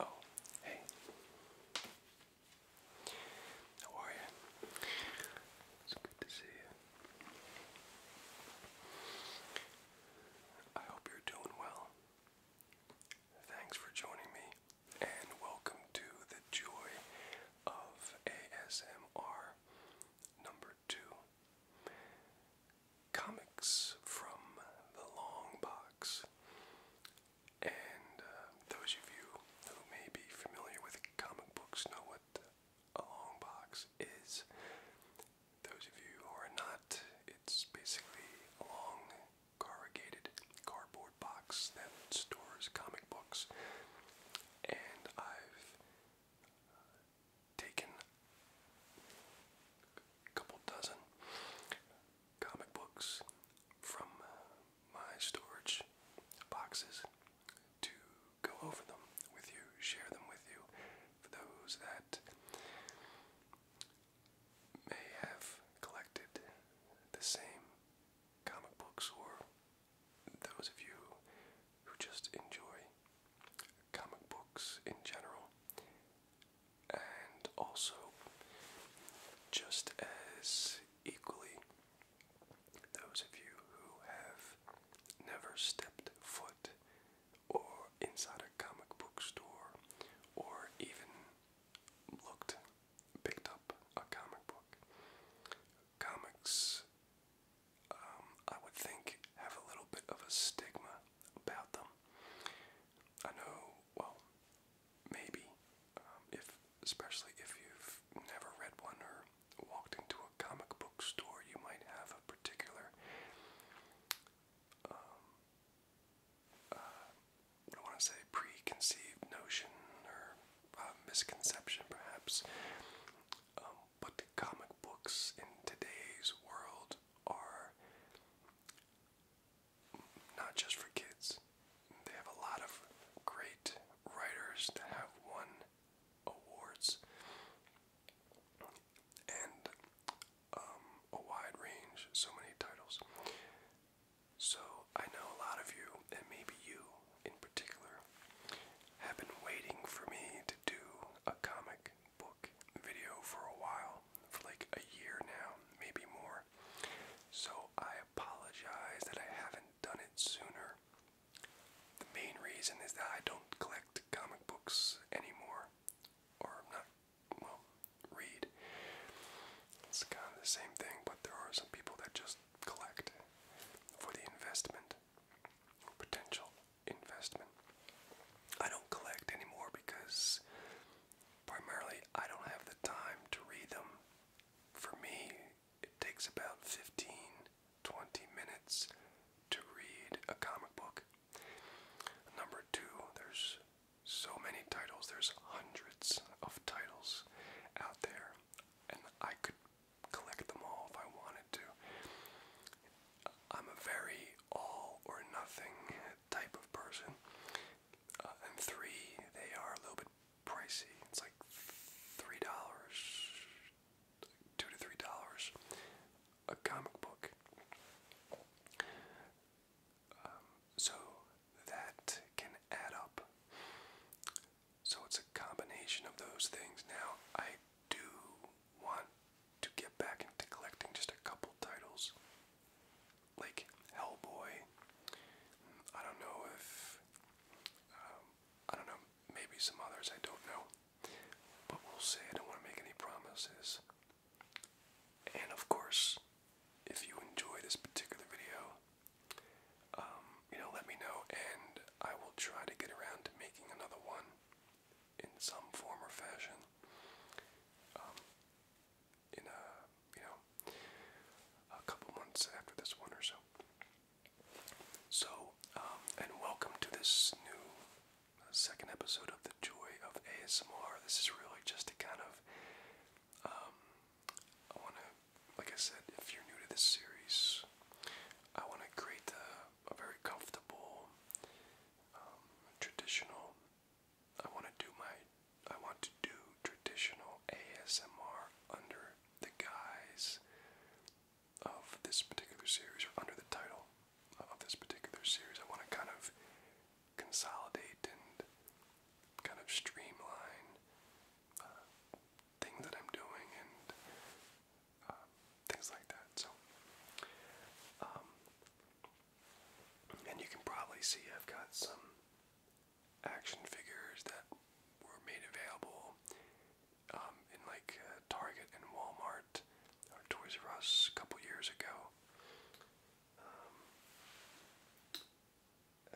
Oh, hey. How are you? It's good to see you. I hope you're doing well. Thanks for joining me, and welcome to the joy of ASMR number two comics from the long box. And uh, those of you who may be familiar with comic books know what a long box is those of you who are not, it's basically a long corrugated cardboard box that stores comic books. And I've uh, taken a couple dozen comic books from uh, my storage boxes to go over them with you, share them with you, for those that may have collected the same comic books, or those of you who just enjoy comic books in general, and also just as equally, those of you who have never stepped foot or inside a comic book store or even looked picked up a comic book. Comics um, I would think have a little bit of a stigma about them. I know, well, maybe um, if especially if you've never read one or walked into a comic book store, you might have a particular um, uh, I want to say preconceived notion or uh, misconception, perhaps. but um, comic books in today's world are not just for kids. They have a lot of great writers that have won awards. And um, a wide range, so many titles. So I know a lot of you, and maybe you in particular, have been waiting for me to do a comic book video for a while, for like a year now, maybe more. So I apologize that I haven't done it sooner. The main reason is that I don't collect comic books anymore or not, well, read. It's kind of the same thing, but there are some people that just collect for the investment, potential investment. I don't collect anymore because primarily I don't have the time to read them. For me, it takes about 15 20 minutes to read a comic book. Number two, there's so many titles, there's hundreds of titles out there, and I could collect them all if I wanted to. I'm a very all or nothing type of person. Uh, and three, they are a little bit pricey. It's like three dollars, two to three dollars a comic book. Um, so that can add up. So it's a combination of those things. Now, I do want to get back into collecting just a couple titles. Like Hellboy. I don't know if. Um, I don't know. Maybe some others. I don't know. But we'll see. I don't want to make any promises. And of course, if you enjoy this particular video, um, you know, let me know, and I will try to get around to making another one in some form or fashion. Um, in a, you know, a couple months after this one or so. So, um, and welcome to this new second episode of The Joy of ASMR. This is really just to kind of, um, I want to, like I said, if you're new to this series, I want to create a, a very comfortable, um, traditional, I want to do my, I want to do traditional ASMR under the guise of this particular series or under the title of this particular series. I want to kind of consolidate and kind of streamline uh, things that I'm doing and uh, things like that. So, um, and you can probably see I've got some action figures that were made available um, in like uh, Target and Walmart Toys R Us a couple years ago. Um,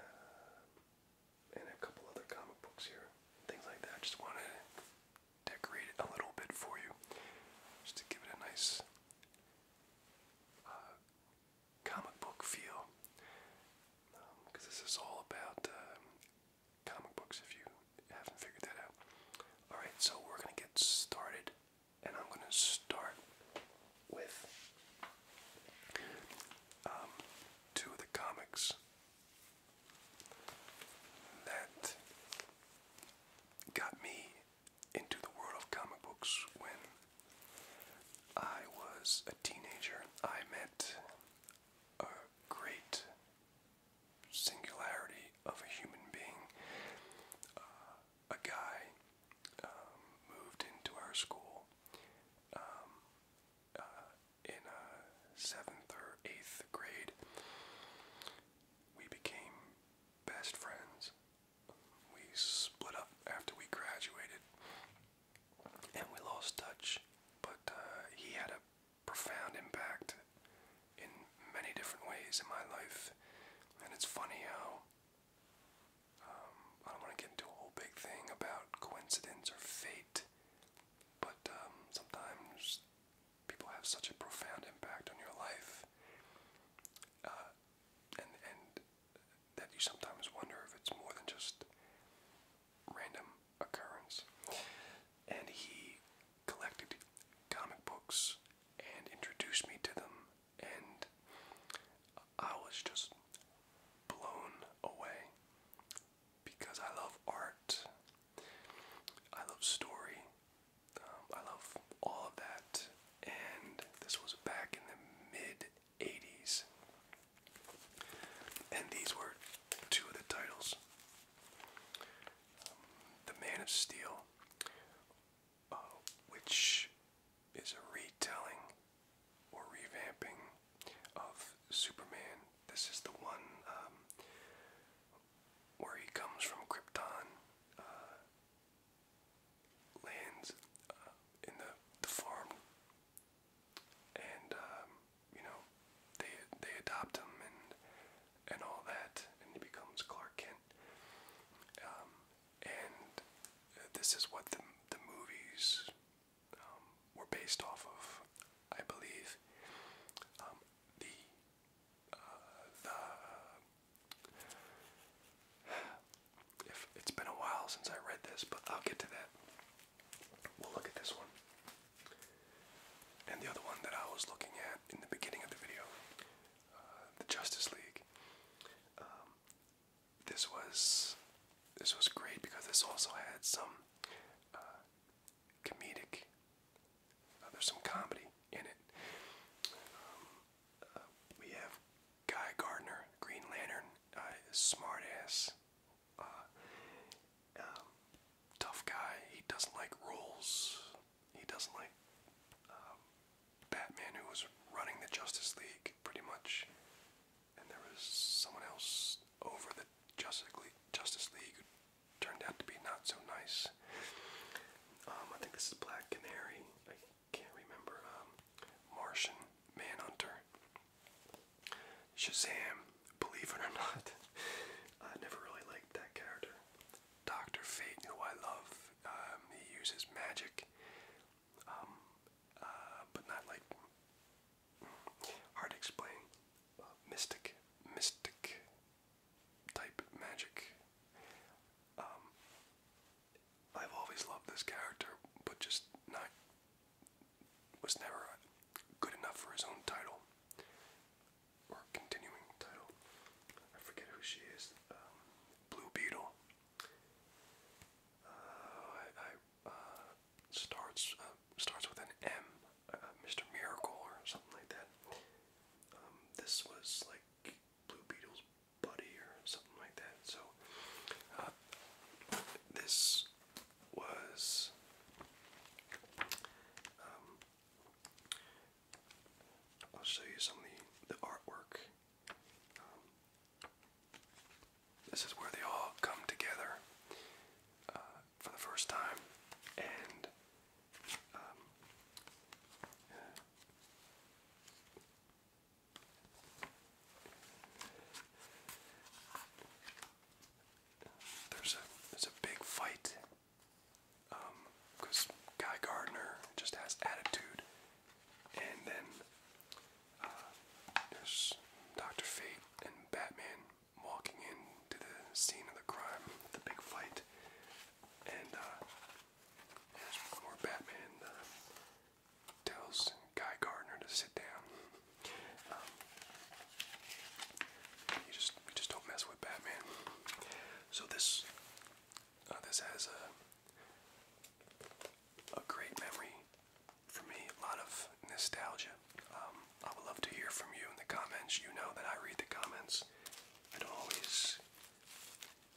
uh, and a couple other comic books here, things like that. Just want to decorate a little bit for you, just to give it a nice uh, comic book feel. Because um, this is all about um, comic books, if you haven't figured that out. Alright, so we're going to get started, and I'm going to start with um, two of the comics that got me into the world of comic books when I was a teenager. I met a great singularity of a human being. Uh, a guy um, moved into our school um, uh, in uh, seventh or eighth grade. We became best friends. We split up after we graduated, and we lost touch. But uh, he had a profound impact in many different ways in my life. And it's funny how um, I don't want to get into a whole big thing about coincidence or fate, but um, sometimes people have such a profound impact on your life, uh, and and that you sometimes wonder if it's more than just random occurrence. And he collected comic books and introduced me to them, and I was just blown away because I love art, I love story, um, I love all of that, and this was back in the mid 80s, and these were two of the titles. Um, the Man of Steel uh, which is a retelling or revamping of Superman. This is the one um, where he comes from Krypton, uh, lands uh, in the, the farm, and um, you know they they adopt him and and all that, and he becomes Clark Kent. Um, and this is what the, the movies um, were based off of, I believe. Um, the uh, the if it's been a while since I read this, but I'll get to that. We'll look at this one. And the other one that I was looking at in the beginning of the video the Justice League. Um, this was this was great because this also had some uh, comedic. Uh, there's some comedy in it. Um, uh, we have Guy Gardner, Green Lantern, uh, smartass, um, tough guy. He doesn't like rules he doesn't like um, Batman, who was running the Justice League pretty much, and there was someone else over the Justice League, Justice League who turned out to be not so nice. Um, I think this is Black Canary. I can't remember. Um, Martian Manhunter. Shazam. Believe it or not, I never really liked that character. Doctor Fate, who I love. Um, he uses magic, um, uh, but not like hard to explain. Uh, mystic, mystic type magic. Um, I've always loved this character, but just not was never good enough for his own title or continuing title. I forget who she is. Um, Blue Beetle. Uh, I, I uh, starts uh, starts with an M, Mr. Miracle or something like that. Um, this was like Blue Beetle's buddy or something like that. So this was um, I'll show you some of the, artwork. Um, this is where they all come together uh, for the first time, and um, there's a there's a big fight because um, Guy Gardner just has attitude, and then uh, there's Doctor Fate and Batman walking into the scene of the crime, the big fight, and uh, Batman. Uh, tells Guy Gardner to sit down. Um, you just you just don't mess with Batman. So this uh, this has a, a great memory for me, a lot of nostalgia. Um, I would love to hear from you in the comments. You know that I read the comments. I don't always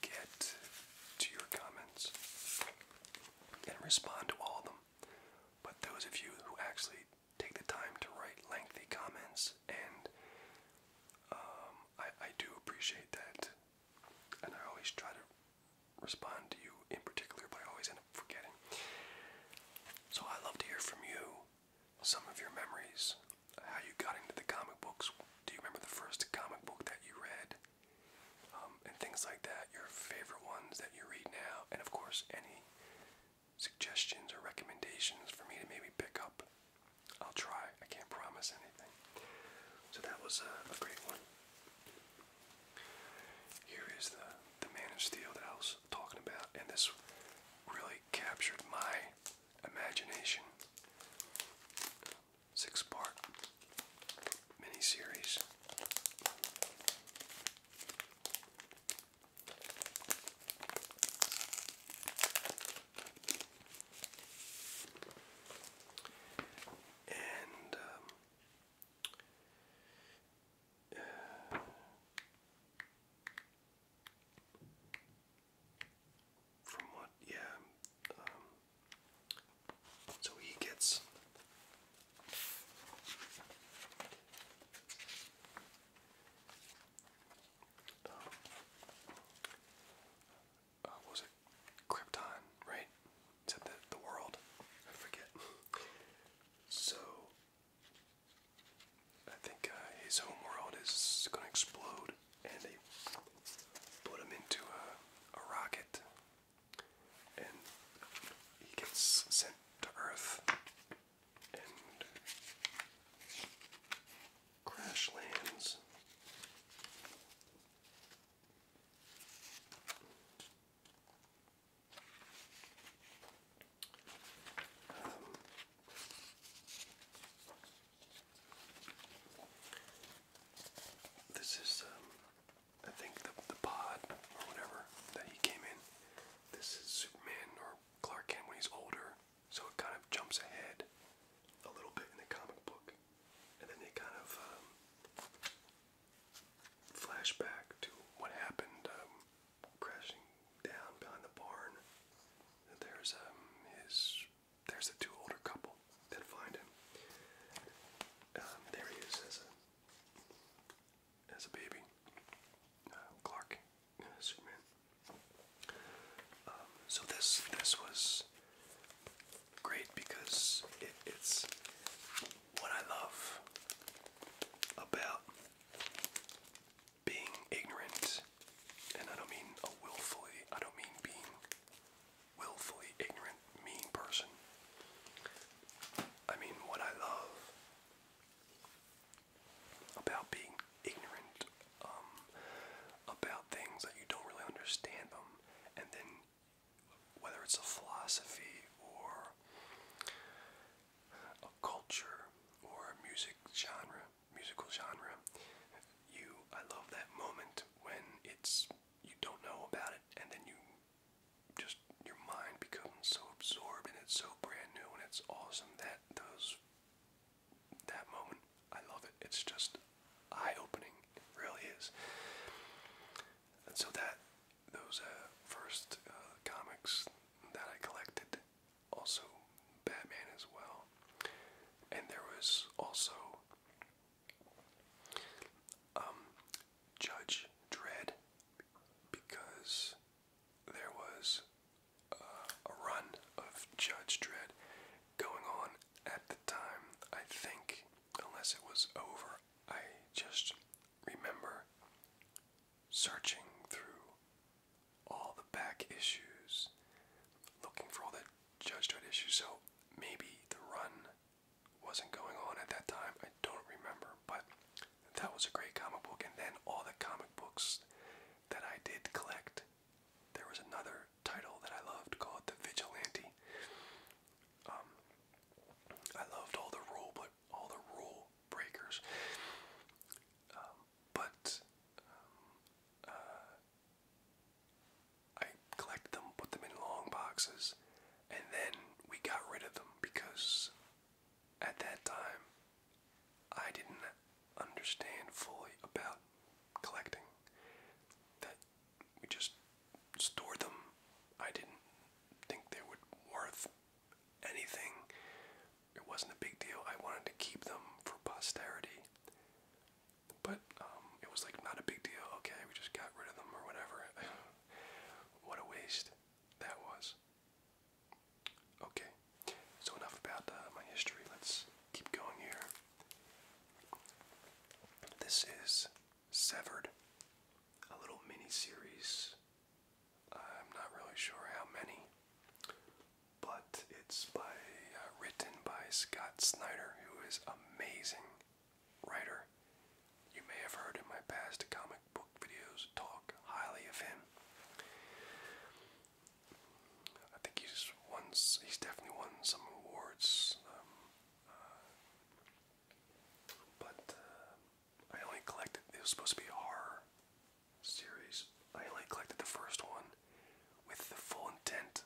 get to your comments and respond to all of them. But those of you who actually take the time to write lengthy comments and um, I, I do appreciate that. And I always try to respond to you in particular, but I always end up forgetting. So I love to hear from you some of your memories, how you got into the comic books. Do you remember the first comic book that you read? Um, and things like that, your favorite ones that you read now, and of course, any suggestions or recommendations for me to maybe pick up I'll try. I can't promise anything. So that was a, great one. Here is the the Man of Steel that I was talking about, and this really captured my imagination. Six part mini series. And um, from what, yeah, um, so he gets. Uh, what was it? Krypton, right? It said the, the world. I forget. So, I think uh, his home world is going to explode, and they put him into a, a rocket, and he gets sent to Earth, and crash lands. Um, this is, um, I think, the pod or whatever that he came in. This is Superman or Clark Kent when he's older. So it kind of jumps ahead a little bit in the comic book, and then they kind of um, flash back to what happened um, crashing down behind the barn. there's um, his, there's the two older couple that find him. Um, there he is as a as a baby. Uh, Clark um, so this this was great because it's what I love about being ignorant, and I don't mean a willfully. I don't mean being willfully ignorant, mean person. I mean what I love about being ignorant um, about things that you don't really understand them, and then whether it's a philosophy or a culture or a music genre, musical genre, you I love that moment when it's you don't know about it, and then you just your mind becomes so absorbed and it's so brand new and it's awesome that those that moment, I love it. It's just eye-opening. really is. And so that those uh, first uh, comics that I collected, also Batman as well, and there was also um, Judge Dread, because there was uh, a run of Judge Dredd going on at the time. I think, unless it was over, I just remember searching through all the back issues, looking for all the Judge Dredd issues. So maybe the run wasn't going on at that time. I don't remember, but that was a great comic book. And then all the comic books that I did collect there was another title that I loved called The Vigilante. Um, I loved all the rule, but all the rule breakers. Um, but um, uh, I collected them, put them in long boxes, and then we got rid of them because at that time I didn't understand fully about collecting. That we just stored them. I didn't think they were worth anything. It wasn't a big deal. I wanted to keep them for posterity. But um, it was like not a big deal. Okay, we just got rid of them or whatever. what a waste that was. Okay, so enough about uh, my history. Let's keep going here. This is Severed, a little mini series. I'm not really sure how many, but it's by uh, written by Scott Snyder, who is amazing writer. You may have heard in my past comic book videos talk highly of him. I think he's won. He's definitely won some awards, um, uh, but uh, I only collected. It was supposed to be horror series. I only collected the first one with the full intent.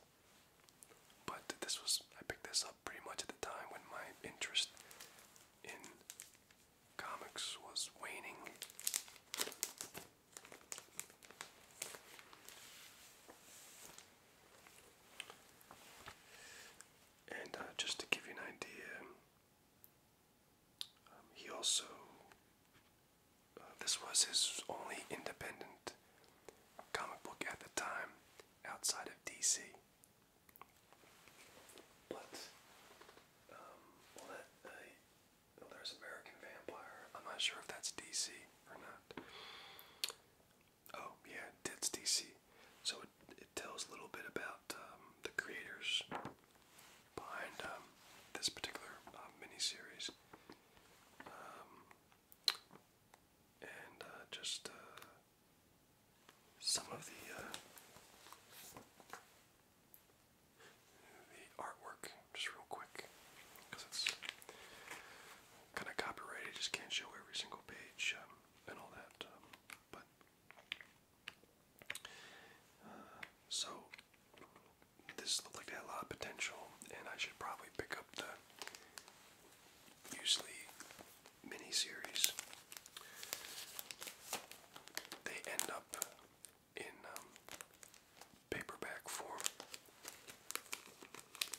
But this was I picked this up pretty much at the time when my interest in comics was waning. And uh, just to give you an idea, um, he also, uh, this was his only independent comic book at the time outside of DC. But, um, uh, there's American Vampire. I'm not sure if that's DC or not. Oh, yeah, that's DC. So it, tells a little bit about um, the creators behind um, this particular uh, miniseries. Um, and uh, just uh, some of the uh, the artwork just real quick because it's kind of copyrighted. Just can't show every single page um, and all that. Um, but uh, so this looked like it had a lot of potential, and I should probably pick up the usually mini They end up in um, paperback form.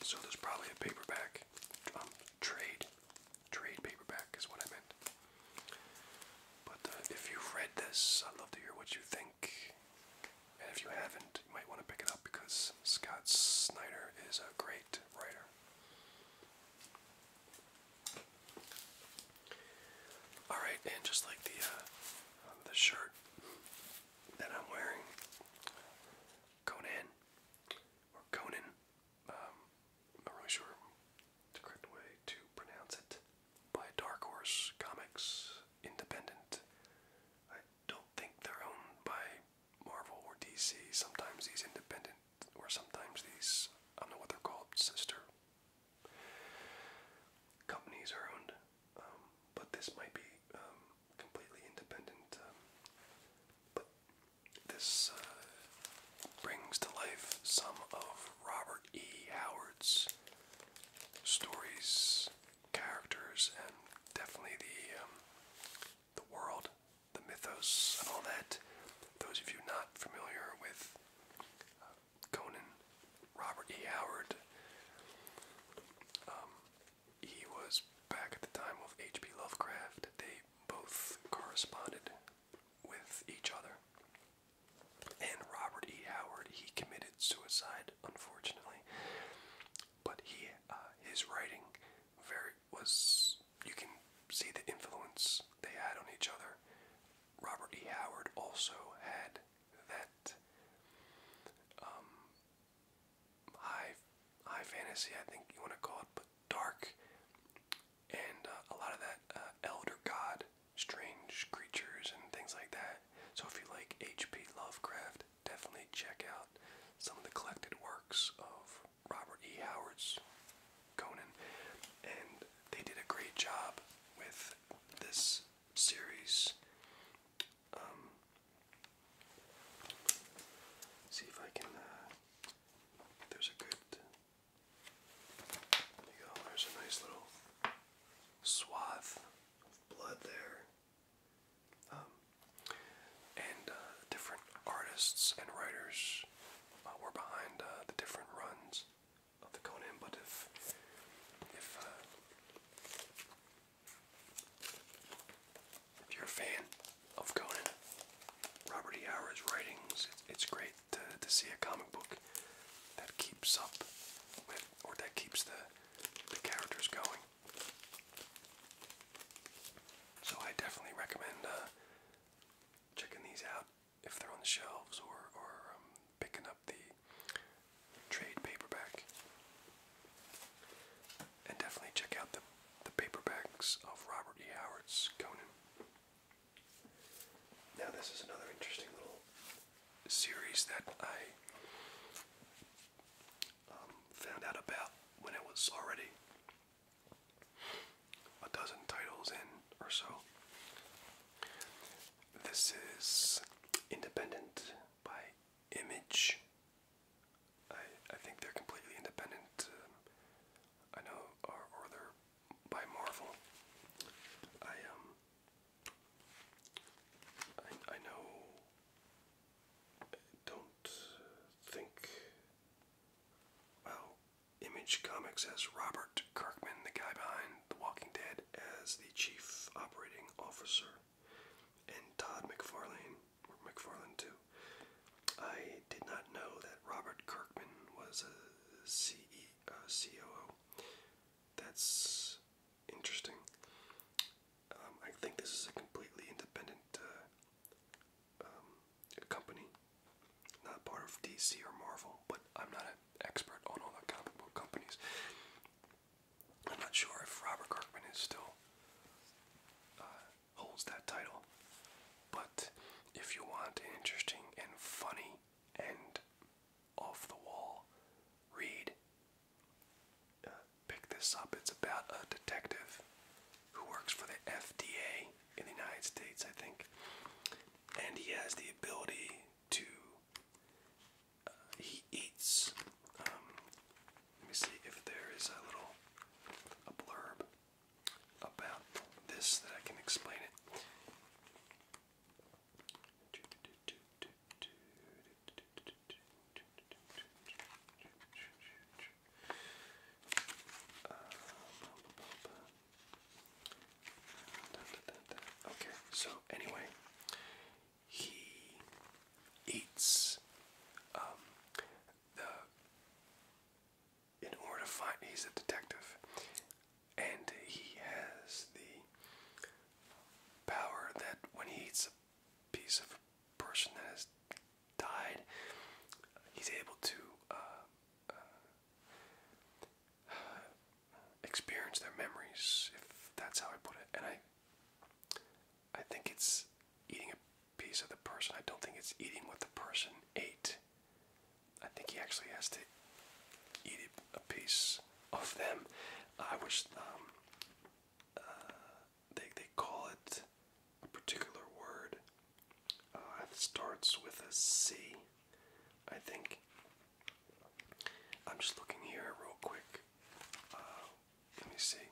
So there's probably a paperback um, trade, trade paperback is what I meant. But uh, if you've read this, I'd love to hear what you think. And if you haven't, you might want to pick it up because Scott Snyder is a great writer. All right, and just like the uh, the shirt, that I'm wearing. Conan, or Conan, um, not really sure the correct way to pronounce it, by Dark Horse Comics Independent. I don't think they're owned by Marvel or DC. Sometimes these independent, or sometimes these, I don't know what they're called, sister companies are owned um, but this might be um, completely independent. Uh, but this uh, brings to life some of Robert E. Howard's stories, characters, and definitely the um, the world, the mythos, and all that. Those of you not familiar with uh, Conan, Robert E. Howard. Um, he was back at the time of H.P. Lovecraft. They both corresponded with each other. And Robert E. Howard, he committed suicide, unfortunately. But he, uh, his writing, very was you can see the influence they had on each other. Robert E. Howard also had that um, high high fantasy, I think you want to call it, but dark, and uh, a lot of that uh, elder god, strange creatures, and things like that. So if you like H.P. Lovecraft, definitely check out some of the collected works of Robert E. Howard's Conan, and they did a great job with this series um, see if I can. Uh, there's a good. There you go. There's a nice little swath of blood there. Um, and uh, different artists and writers uh, were behind the different runs of the Conan. But if if if you're a fan of Conan, Robert E. Howard's writings, it's, great to, see a comic book that keeps up or that keeps the, characters going. So I definitely recommend uh, checking these out if they're on the shelves or, or um, picking up the trade paperback. And definitely check out the, the paperbacks of Robert E. Howard's Conan. Now, this is another interesting little series that I um, found out about when it was already a dozen titles in or so. This is Independent by image. I, I think they're completely independent. Um, I know, or, or they're by Marvel. I um, I, I know. don't think. Well, Image Comics has Robert Kirkman, the guy behind The Walking Dead, as the chief operating officer and Todd McFarlane, or McFarlane too. I did not know that Robert Kirkman was a CE, uh, That's interesting. Um, I think this is a completely independent uh, um, company, not part of DC or Marvel, but I'm not an expert on all the comic book companies. I'm not sure if Robert Kirkman is still uh, holds that title, but if you want interesting and funny and off the wall read, uh, pick this up. It's about a detective who works for the FDA in the United States, I think, and he has the ability to he eats. Um, let me see if there is a little a blurb about this that I can explain it. Uh, okay, so anyway, he eats um, the in order to find he's a detective and he has the power that when he eats a piece of a person that has died he's able to uh, uh, experience their memories, if that's how I put it. And I I think it's eating a piece of the person. I don't think it's eating what the person ate. I think he actually has to eat a piece of them. I wish um, uh, they they call it a particular word. that uh, starts with a C, I think. I'm just looking here real quick. Uh, let me see.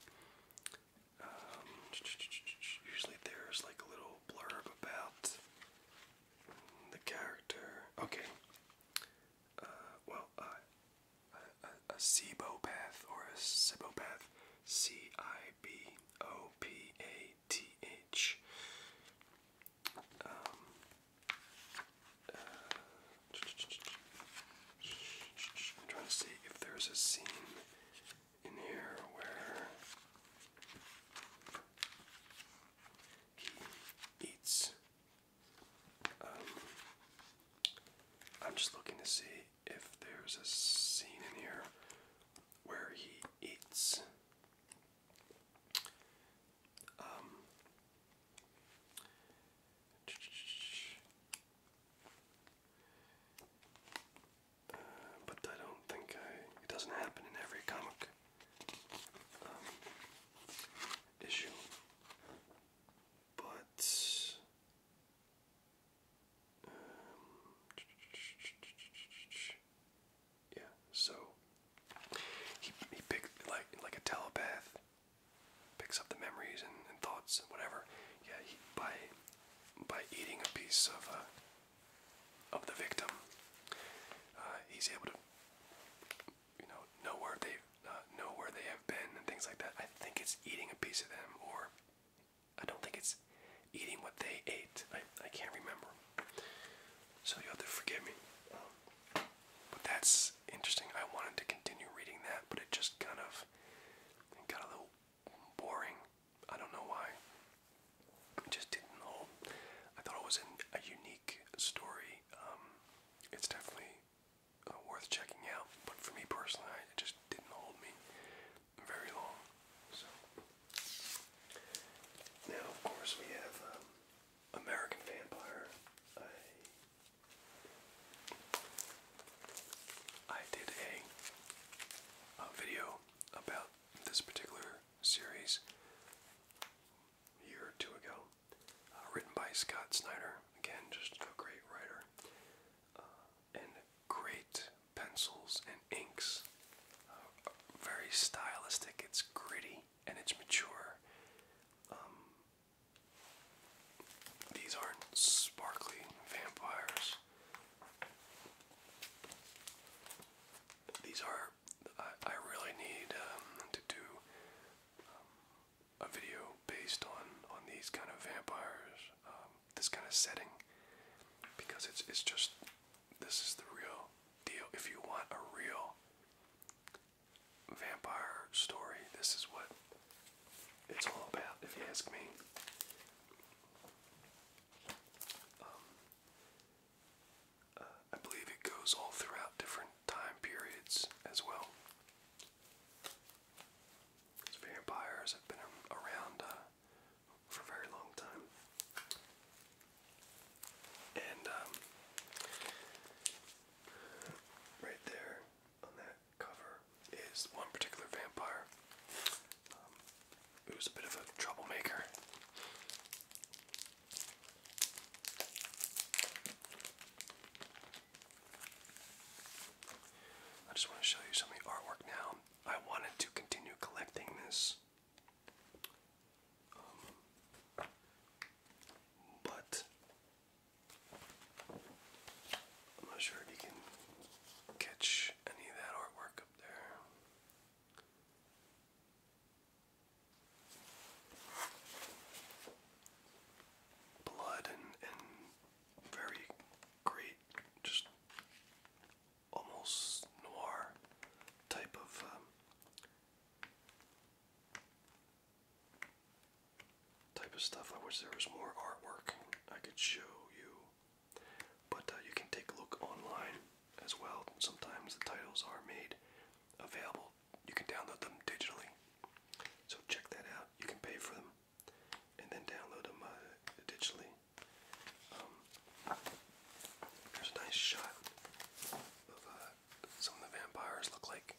Um, usually there's like a little blurb about the character. Okay. Uh, well, uh, a, a, cibopath or a cibopath, C I B O P A T H. Um, I'm trying to see if there's a scene in here where he eats. Um, I'm just looking to see if there's a scene in here where he eats. Um, but I don't think It doesn't happen in every comic um, issue. But. Um, yeah, so he he picked like like a telepath picks up the memories and, and thoughts and whatever. Yeah, he, by by eating a piece of uh, of the victim, uh, he's able to you know know where they uh, know where they have been and things like that. I think it's eating a piece of them, or I don't think it's eating what they ate. I I can't remember. So you have to forgive me. Um, but that's interesting. I wanted to continue reading that, but it just kind of got a little boring. I don't know why. It just didn't hold. I thought it was a unique story. Um, it's definitely uh, worth checking out, but for me personally, it just didn't hold me very long. So now, of course, we have um, American Vampire. I did a, a video about this particular series a year or two ago, uh, written by Scott Snyder. Again, just a great writer. Uh, and great pencils and inks. Uh, very stylistic, it's gritty and it's mature. Um, these aren't sparkly vampires. These are. I, really need um, to do um, a video based on on these kind of vampires, um, this kind of setting, because it's it's just this is the real deal. If you want a real vampire story. This is what it's all about, if you ask me. Um, uh, I believe it goes all throughout different time periods as well. vampires have been around uh, for a very long time. And um, right there on that cover is one particular vampire um, who's a bit of a troublemaker. I just want to show you some of the artwork now. I wanted to continue collecting this. Um, but I'm not sure if you can catch any of that artwork up there. Blood and, and very great, just almost noir type of um, type of stuff. I wish there was more artwork I could show you. But uh, you can take a look online as well. Sometimes the titles are made available. You can download them digitally. So check that out. You can pay for them and then download them uh, digitally. Um, there's a nice shot of uh, some of the vampires look like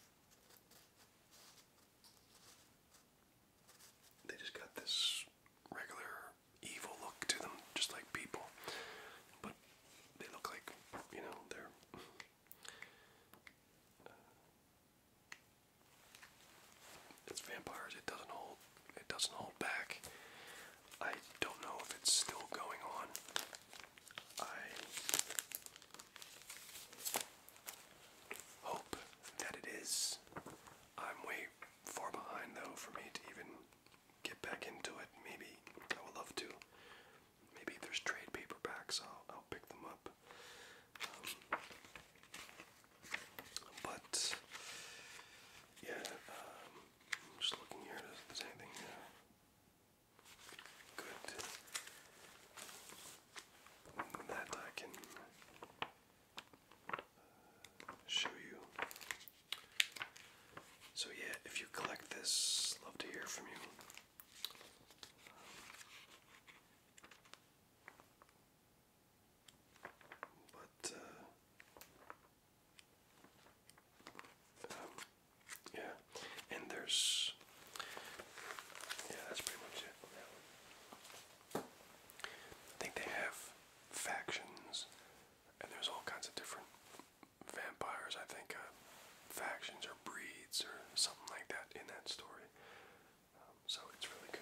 they just got this regular evil look to them, just like people. But they look like, you know, they're. Uh, vampires. It doesn't hold. It doesn't hold back. I don't know if it's still going on. I hope that it is. I'm way far behind though for me to even get back into it. Maybe I would love to. Maybe if there's trade paperbacks, I'll, pick them up. Um, but yeah, um, I'm just looking here. Does, does anything? Uh, Good. That I can uh, show you. So, yeah, if you collect this, love to hear from you. But, uh, um, yeah, and there's yeah, that's pretty much it I think they have factions, and there's all kinds of different vampires. I think uh, factions or breeds or something like that in that story. Um, so it's really good.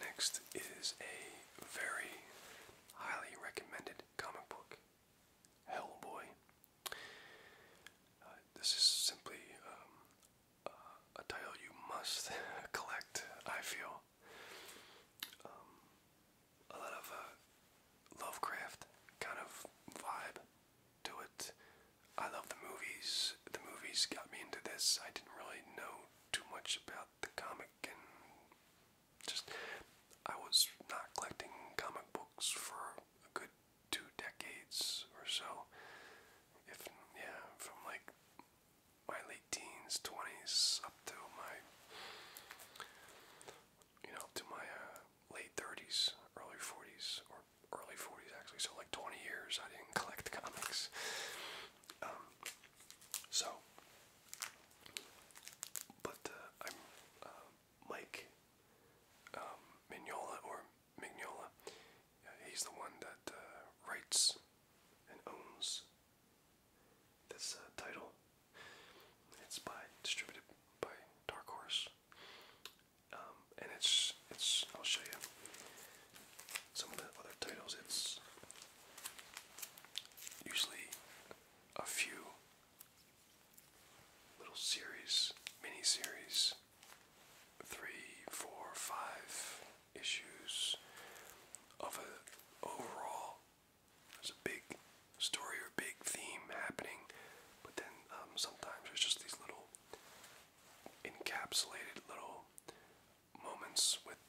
Next is a very highly recommended comic book, Hellboy. Uh, this is simply um, uh, a title you must collect, I feel. Um, a lot of uh, Lovecraft kind of vibe to it. I love the movies. The movies got me into this. I didn't really know too much about the comic and just I was not collecting comic books for a good two decades or so. If yeah, from like my late teens, twenties up to my you know, to my uh, late thirties, early forties or early 40s actually so like 20 years i didn't collect comics um, so, but uh, I'm uh, Mike um, Mignola or Mignola. he's the one that uh, writes and owns this title. It's by distributed by Dark Horse, um, and it's it's. I'll show you some of the other titles. It's Usually a few little series, mini series, three, four, five issues of a overall. There's a big story or big theme happening, but then um, sometimes there's just these little encapsulated little moments with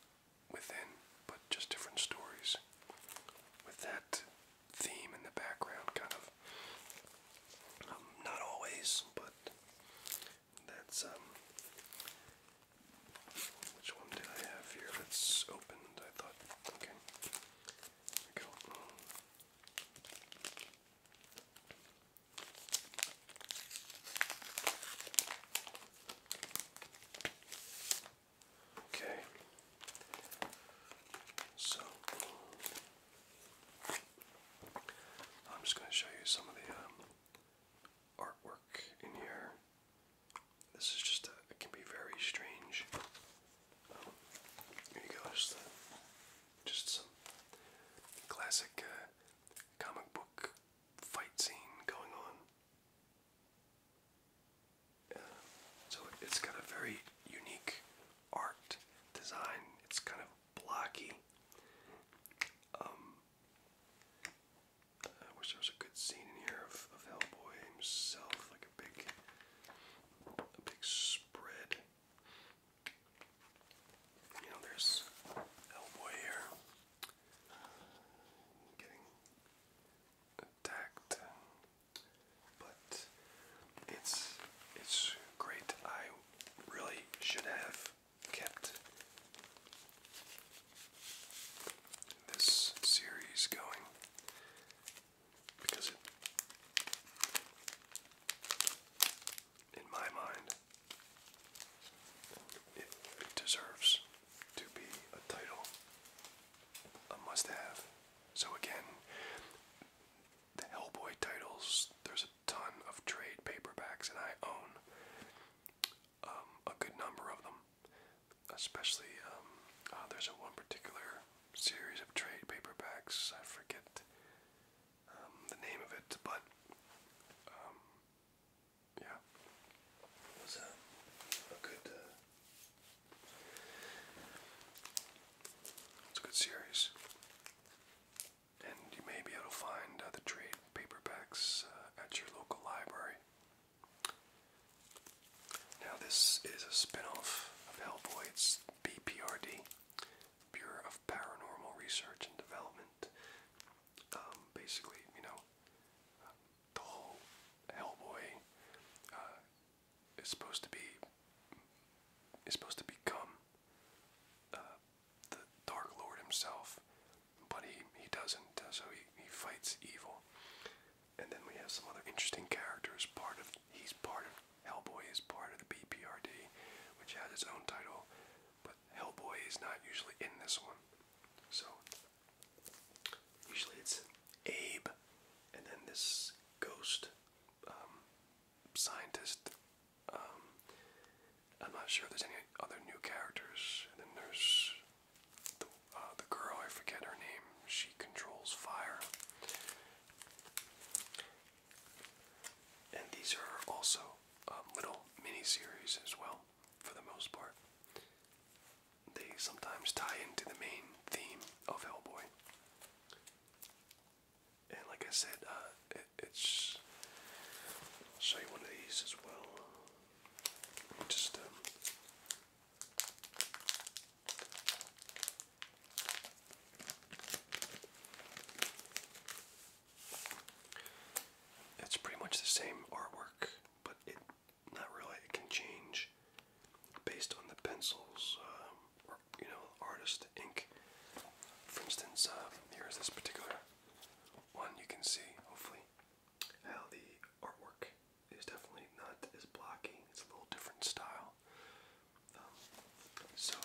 within, but just different stories. With that theme in the background, kind of. Um, not always, but that's um. Which one did I have here? That's opened. I thought. Okay. Here we go. Okay. So I'm just going to show you some of the um, artwork in here. This is just a, it can be very strange. Um, here you go, just, some classic uh, comic book fight scene going on. so it's got a very unique art design. It's kind of blocky. Um, I wish there was a good scene in here of, of Hellboy himself, like a big, a big spread. You know, there's Hellboy here getting attacked, but it's it's great. I really should have kept this series going because in my mind it, deserves to be a title, a must have. So, again, the Hellboy titles, there's a ton of trade paperbacks, and I own um, a good number of them. Especially, um, ah, there's a one particular series of trade paperbacks, I forget um, the name of it, but yeah, it a, good, uh, it's a good series. And you may be able to find the trade paperbacks uh, at your local library. Now, this is a spin off of Hellboy's BPRD, Bureau of Paranormal Research and Development. Um, basically, you know, uh, the whole Hellboy uh, is supposed to be is supposed to become uh, the Dark Lord himself, but he he doesn't. Uh, so he he fights evil, and then we have some other interesting characters. Part of he's part of Hellboy is part of the BPRD, which has its own title. But Hellboy is not usually in this one. So usually it's Abe and then this ghost um, scientist. Um, I'm not sure if there's any other new characters. And then there's the, uh, the girl, I forget her name. She controls fire. And these are also um, little mini series as well for the most part. They sometimes tie into the main theme of Hellboy. And like I said, uh, it's. I'll show you one of these as well. Just um, it's pretty much the same artwork, but it not really. It can change based on the pencils, um, or you know, artist ink. For instance, uh, here's this particular one. You can see, hopefully, how the artwork is definitely not as blocky. It's a little different style. Um, so,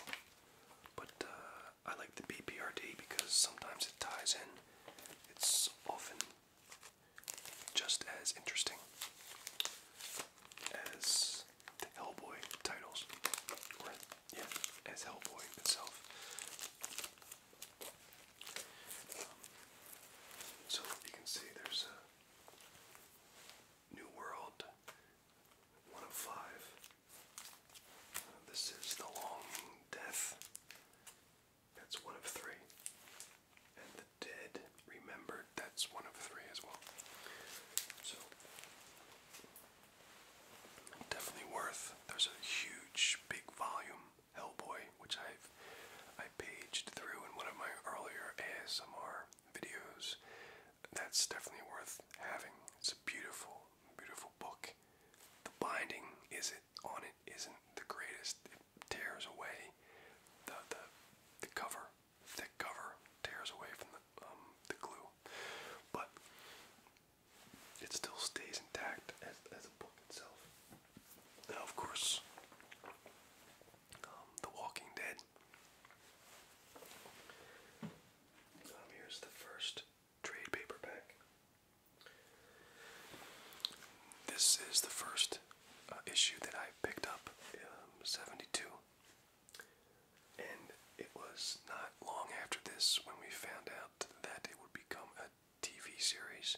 but uh, I like the BPRD because sometimes it ties in. It's often just as interesting as the Hellboy titles, or yeah, as Hellboy itself. Um, so you can see there's a New World, one of five. Uh, this is the Long Death. That's one of three. And the dead remembered, that's one of three as well. So, definitely worth. There's a huge, big volume, Hellboy, which I've I paged through in one of my earlier ASMR videos. That's definitely worth having. It's a beautiful, beautiful book. The binding is it on it isn't the greatest. It tears away the the, the cover, thick cover tears away from the um, the glue, but it still stays intact as as a book itself. Now, of course, um, The Walking Dead. Um, here's the first trade paperback. This is the first uh, issue that I picked up, um, 72. And it was not long after this when we found out that it would become a TV series.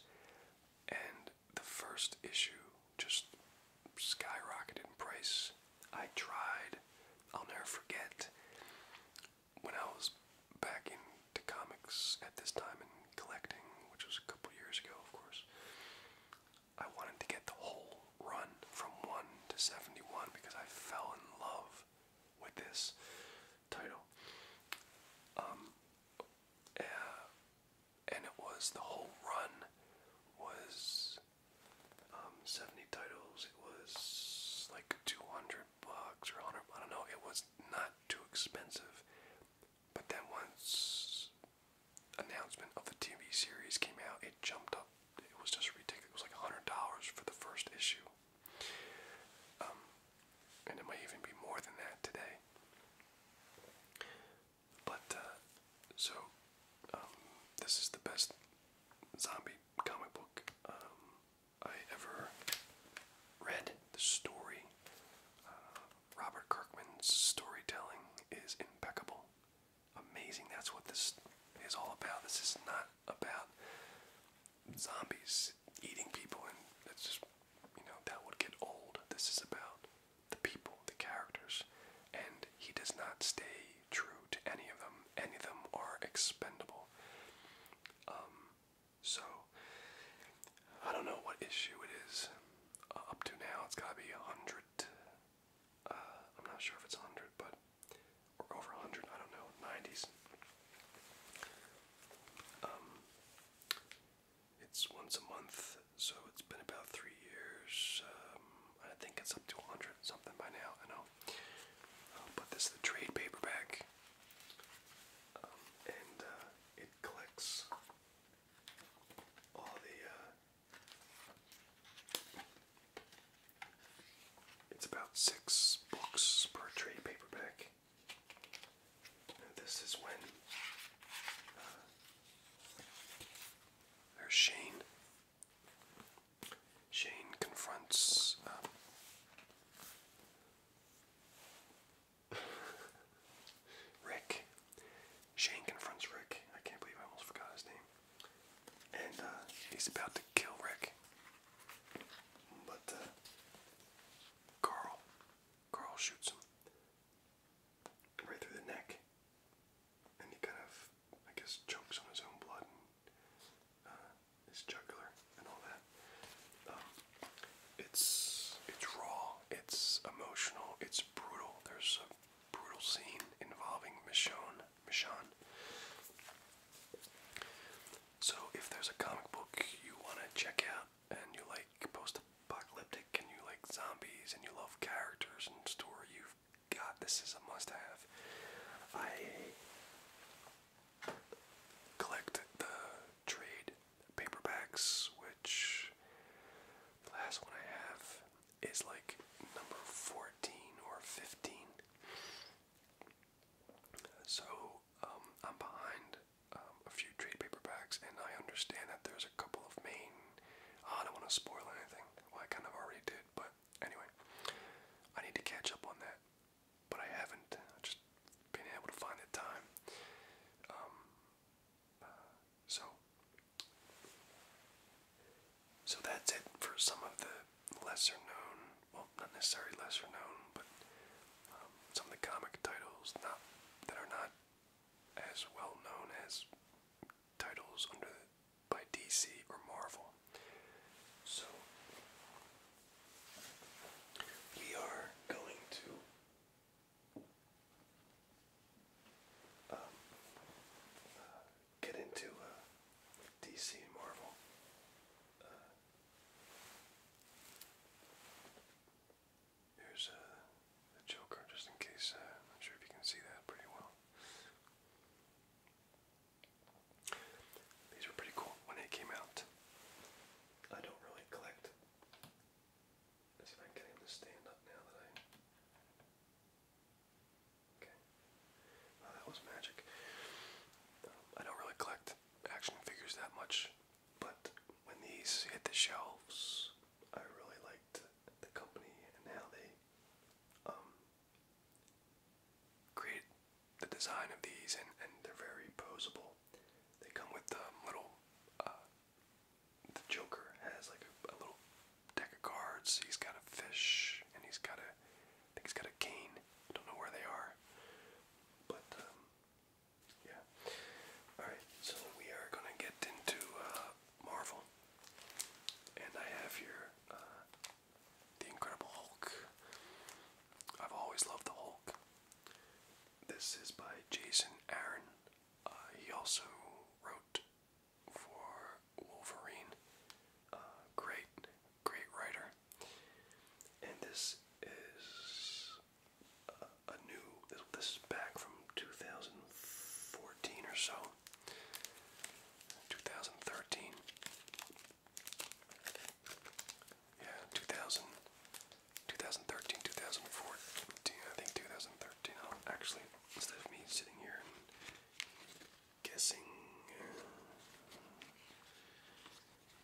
And the first issue just skyrocketed in price. I tried, I'll never forget when I was back into comics at this time and collecting, which was a couple years ago, of course, I wanted to get the whole run from 1 to 71 because I fell in love with this title. Um, uh, and it was the whole run was um, 70 titles, it was like 200 bucks or 100, I don't know, it was not too expensive. But then once announcement of the TV series came out, it jumped up. It was just ridiculous. It was like $100 for the first issue. Um, and it might even be more than that today. But, uh, so, um, this is the best zombie comic book um, I ever read the story. Uh, Robert Kirkman's storytelling is impeccable, amazing. That's what this is all about. This is not about zombies eating people, and that's just you know that would get old. This is about the people, the characters, and he does not stay true to any of them. Any of them are expendable. Um, so I don't know what issue it is uh, up to now. It's got to be a hundred. Uh, I'm not sure if it's a hundred, but or over a hundred. I don't know. Nineties. Um, it's once a month, so it's been about three years. Um, I think it's up to a hundred something by now. I know. Uh, but this is the trade paperback and uh, it collects all the. Uh, it's about six books per trade paperback. this is when uh, there's Shane. Shane confronts um, Rick. Shane confronts Rick. I can't believe I almost forgot his name. And uh, he's about to kill Rick. But uh, Carl. Carl shoots him. Right through the neck. And he kind of, I guess, chokes on his own blood uh, his jugular and all that. Um, it's it's raw, it's emotional, it's brutal. There's a brutal scene involving Michonne. Michonne. So if there's a comic book you want to check out and you like post-apocalyptic and you like zombies and you love characters and story, you've got this is a must-have. I collect the trade paperbacks, which the last one I have is like number 14 or 15. So um, I'm behind um, a few trade paperbacks, and I understand that there's a couple of main. I don't want to spoil anything. Well, I kind of already did, but anyway, I need to catch up on that but I haven't. just been able to find the time. Um, so, so that's it for some of the lesser known, well, not necessarily lesser known, but um, some of the comic titles not that are not as well known as titles under by DC or Marvel. So we are going to um, uh, get into uh, DC Marvel. Uh, here's uh, Joker, just in case. Uh, I'm not sure if you can see that pretty well. These were pretty cool when they came out. I don't really collect. I can get to stand up now that I. Okay. that was magic. I don't really collect action figures that much, but when these hit the shelves, I really liked the company and how they um, created the design of these, and, and they're very posable. They come with um, little. Uh, the Joker has like a, little deck of cards. He's got a fish, and he's got a. I think he's got a cane. I don't know where they are, but um, yeah. All right, so we are gonna get into uh, Marvel, and I have here uh, the Incredible Hulk. I've always loved the Hulk. This is by Jason Aaron. Uh, he also wrote for Wolverine. Uh, great, great writer. And this is uh, a, new. This, this is back from 2014 or so. 2013. Yeah, 2000, 2013, I think 2013. actually, instead of me sitting here guessing, uh,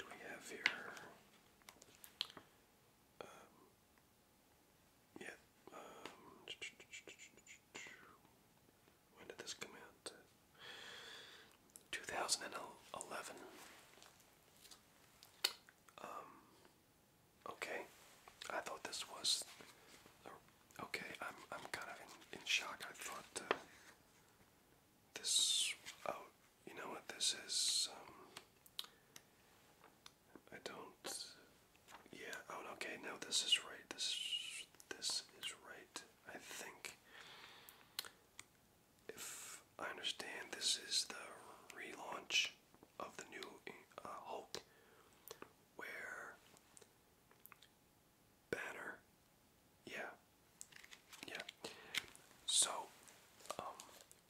do we have here? Um, yeah. Um, when did this come out? 2011. Um, okay. I thought this was. Okay, I'm I'm kind of in, in shock. I thought uh, this. Oh, you know what this is. Um, I don't. Yeah. Oh, okay. No, this is right. This this is right. I think if I understand, this is the relaunch of the new uh, Hulk, where Banner, yeah, yeah. So, um,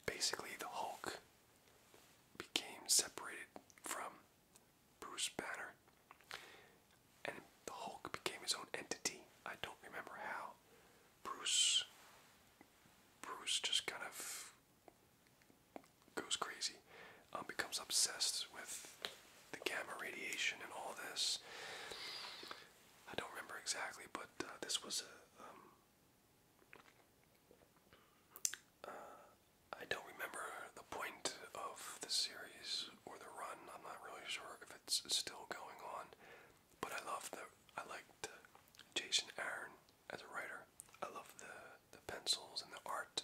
basically, the Hulk became separated from Bruce Banner, and the Hulk became his own entity. I don't remember how. Bruce Bruce just kind of goes crazy, um, becomes obsessed with the gamma radiation and all this. I don't remember exactly, but uh, this was a. Um, uh, I don't remember the point of the series or the run. I'm not really sure if it's still going on. But I love the I liked uh, Jason Aaron as a writer. I love the the pencils and the art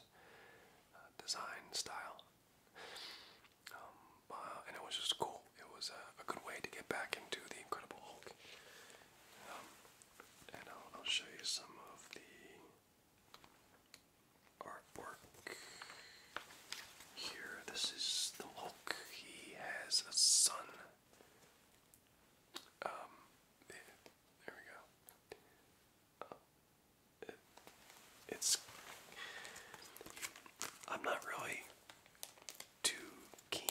uh, design style. Um, uh, and it was just cool. It was a good way to get back into the Incredible Hulk. Um, and I'll show you some of the artwork here. This is the Hulk. He has a son. Um, there we go. it's. I'm not really too keen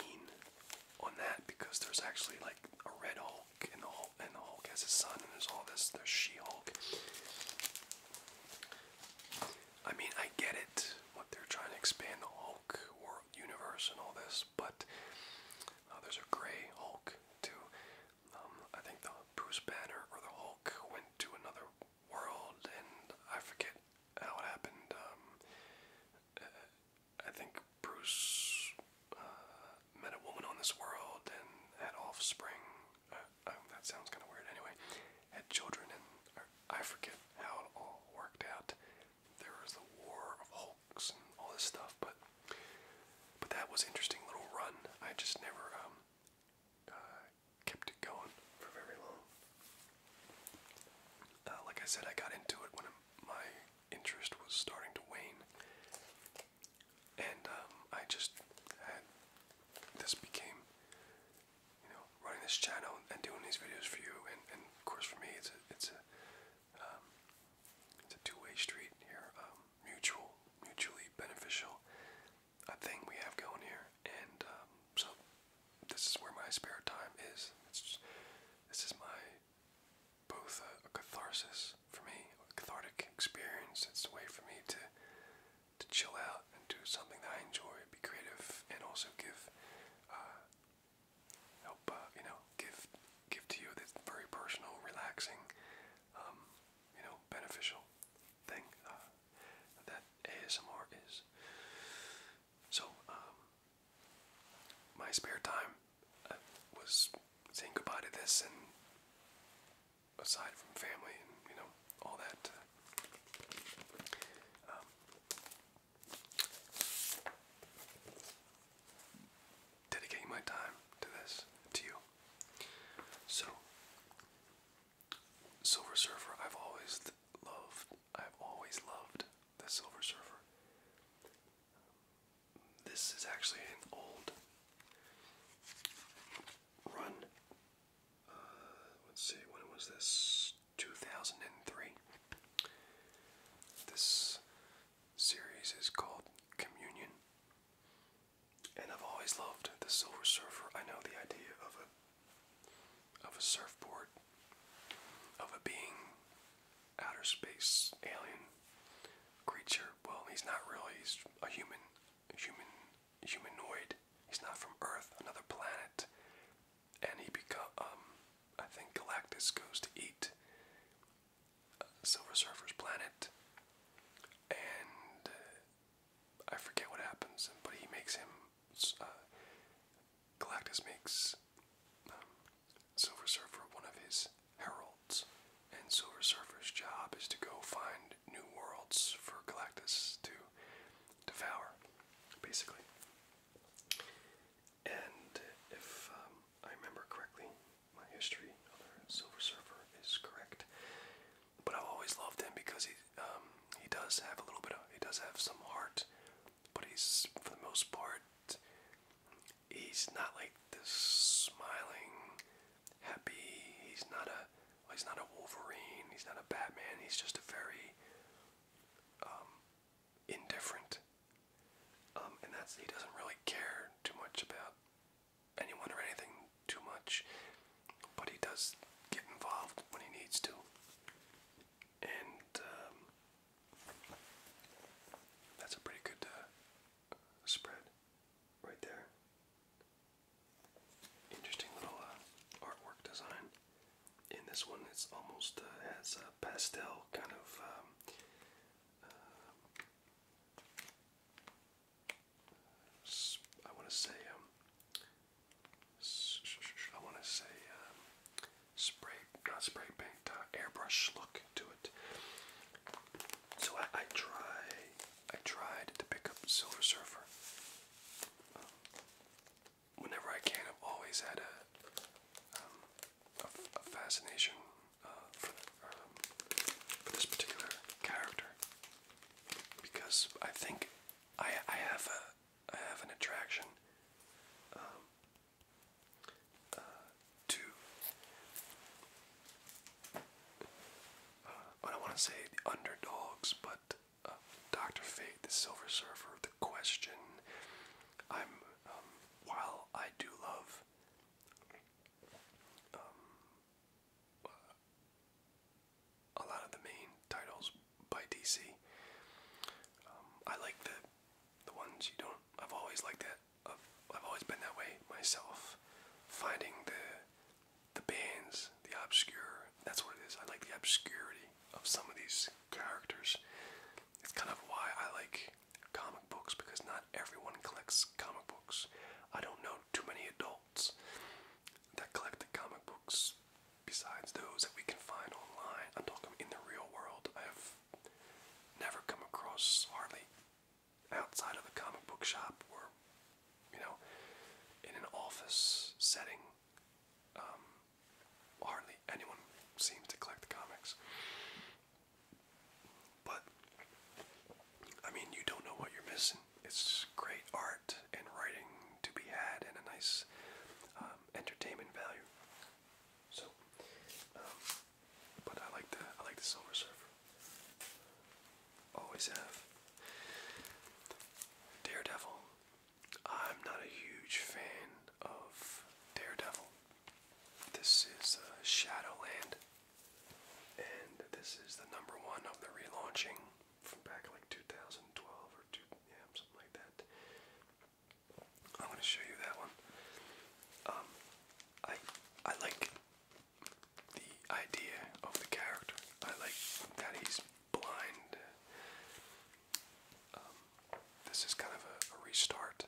on that because there's actually like a Red Hulk and the Hulk, and the Hulk has a son and there's all this. There's She Hulk. I mean, I get it, what they're trying to expand the Hulk or universe and all this, but uh, there's a gray Hulk too. Um, I think the Bruce Banner or the Hulk went to another world, and I forget how it happened. Um, I think Bruce uh, met a woman on this world and had offspring. Uh, um, that sounds kind of weird. Anyway, had children, and I forget how it all worked out. There was the War of Hulks and all this stuff, but but that was interesting little run. I just never um, uh, kept it going for very long. Uh, like I said, I got into it when my interest was starting to wane, and um, I just this became you know, running this channel and doing these videos for you, and, and of course for me, it's a it's a um, it's a two-way street here, um, mutual, mutually beneficial uh, thing we have going here, and um, so this is where my spare time is. It's just, this is my both a, catharsis for me, a cathartic experience. It's a way for me to to chill out and do something that I enjoy, be creative, and also give uh, help uh, you know give give to you this very personal, relaxing, um, you know, beneficial thing uh, that ASMR is. So um, my spare time uh, was saying goodbye to this, and aside from family and you know all that. Uh, um, dedicating my time to this, to you. So, Silver Surfer, I've always loved, I've always loved the Silver Surfer. This is actually an old run. Uh, let's see, when was this? 2003. This series is called Communion. And I've always loved the Silver Surfer. I know the idea of a of a surfboard, of a being, outer space alien creature. Well, he's not really. He's a human, a human, humanoid. He's not from Earth, another planet and he become um, I think Galactus goes to eat uh, Silver Surfer's planet, and uh, I forget what happens, but he makes him. Uh, Galactus makes um, Silver Surfer one of his heralds, and Silver Surfer's job is to go find new worlds for Galactus to devour, basically. And if um, I remember correctly, my history of the Silver Surfer is correct. But I've always loved him because he um, he does have a little bit of he does have some heart, but he's for the most part he's not like this smiling, happy. He's not a well, he's not a Wolverine. He's not a Batman. He's just a very um, indifferent, um, and that's he doesn't really care too much about anyone or anything too much, but he does get involved when he needs to, and um, that's a pretty good uh, spread right there. Interesting little uh, artwork design in this one it's almost uh, has a pastel kind of um, uh, I want to say um, I want to say um, spray not spray paint uh, airbrush look to it. So I, I try I tried to pick up Silver Surfer whenever I can, I've always had a um, a, fascination uh, for, um, for this particular character because I think I I have a I have an attraction um, uh, to uh, I don't want to say the underdogs, but uh, Doctor Fate, the Silver Surfer, the Question. I'm um, while I do love um, a lot of the main titles by DC. Um, I like the the ones you don't. I've always liked it. I've, I've always been that way myself. Finding the the bands, the obscure. That's what it is. I like the obscurity of some of these characters. It's kind of why I like comic books because not everyone collects comic books. I don't know too many adults that collect the comic books besides those that we can find online. I'm talking in the real world. I have never come across hardly outside of a comic book shop or you know in an office setting um, hardly anyone seems to collect the comics. But I mean, you don't know what you're missing. It's great art and writing to be had, and a nice um, entertainment value. So, um, but I like the I like the Silver Surfer. Always have. Daredevil, I'm not a huge fan of Daredevil. This is uh, Shadowland, and this is the number one of the relaunching from back like 2012 or two, yeah, something like that. I'm to show you that one. Um, I I like the idea of the character. I like that he's blind. Um, this is kind of a, restart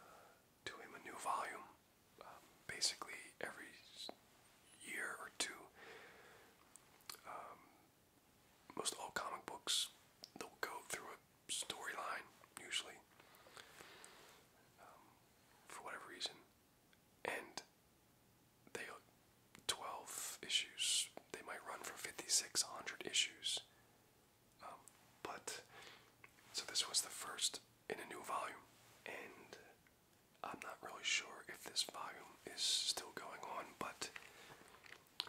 uh, to a new volume. Um, basically, every year or two, um, most all comic books they'll go through a storyline usually for whatever reason, and they 12 issues. They might run for fifty-six hundred issues. Um, but, so this was the first in a new volume. And I'm not really sure if this volume is still going on, but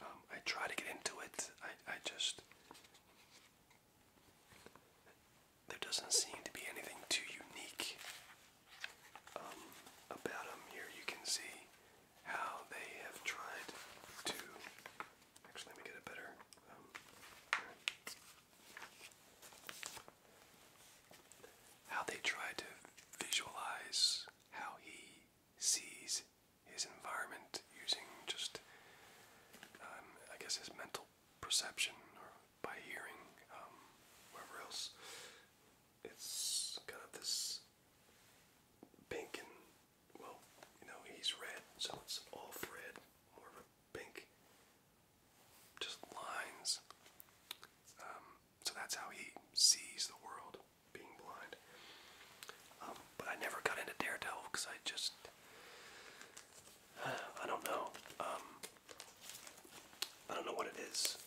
um, I try to get into it. I, I just. There doesn't seem to be anything too unique um, about them. Here you can see how they have tried to actually let me get a better um, how they try to visualize how he sees his environment using just um, I guess his mental perception or by hearing um, else it's kind of this pink and well, you know, he's red, so it's off red, more of a pink, just lines. Um, so that's how he sees the world, being blind. Um, but I never got into Daredevil because I just, I don't know. Um, I don't know what it is.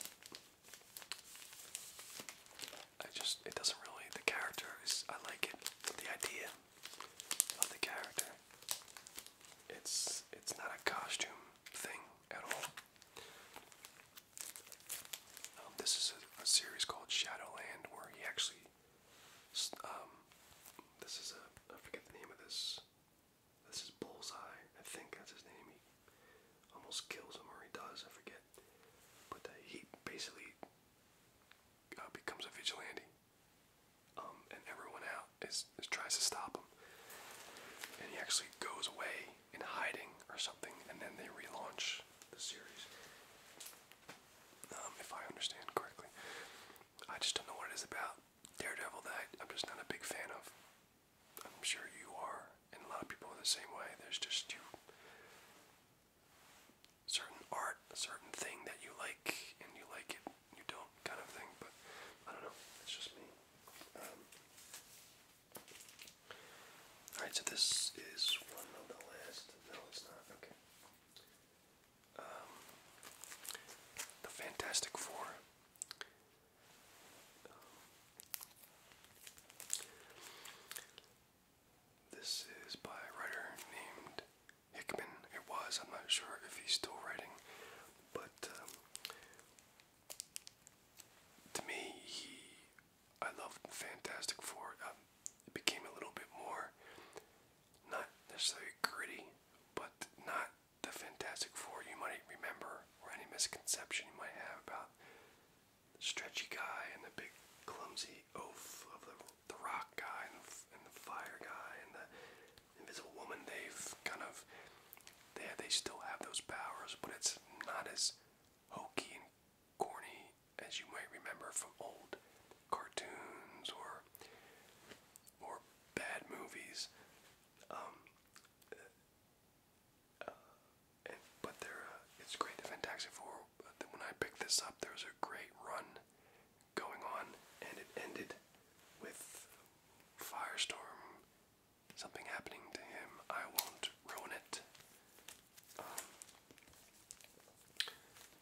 I just it doesn't really the character is I like it the idea of the character. It's it's not a costume thing at all. Um, this is a, series called Shadowland where he actually um, this is a I forget the name of this. This is Bullseye. I think that's his name. He almost kills him or he does, I forget but he basically uh, becomes a vigilante, um, and everyone out is, is tries to stop him, and he actually goes away in hiding or something, and then they relaunch the series. Um, if I understand correctly, I just don't know what it is about Daredevil that I'm just not a big fan of. I'm sure you are and a lot of people are the same way. There's just you certain art, certain thing that you like, and you like it, you don't, kind of thing. But I don't know. It's just me. Um, all right. So this is one of the last. No, it's not. Okay. Um, the Fantastic Four. Um, this is by a writer named Hickman. It was, I'm not sure if he's still writing, but um, to me, he, I loved Fantastic Four. Uh, it became a little bit more, not necessarily gritty, but not the Fantastic Four you might remember or any misconception you might have about stretchy guy and the big clumsy oaf of the, the rock guy and the, fire guy and the invisible woman, they've kind of, they, they still have those powers, but it's not as hokey and corny as you might remember from old cartoons or or bad movies. Um, uh, but they uh, it's great. The Fantastic Four. when I picked this up, there was a great run going on, and it ended with Firestorm. Something happening to him. I won't ruin it. Um,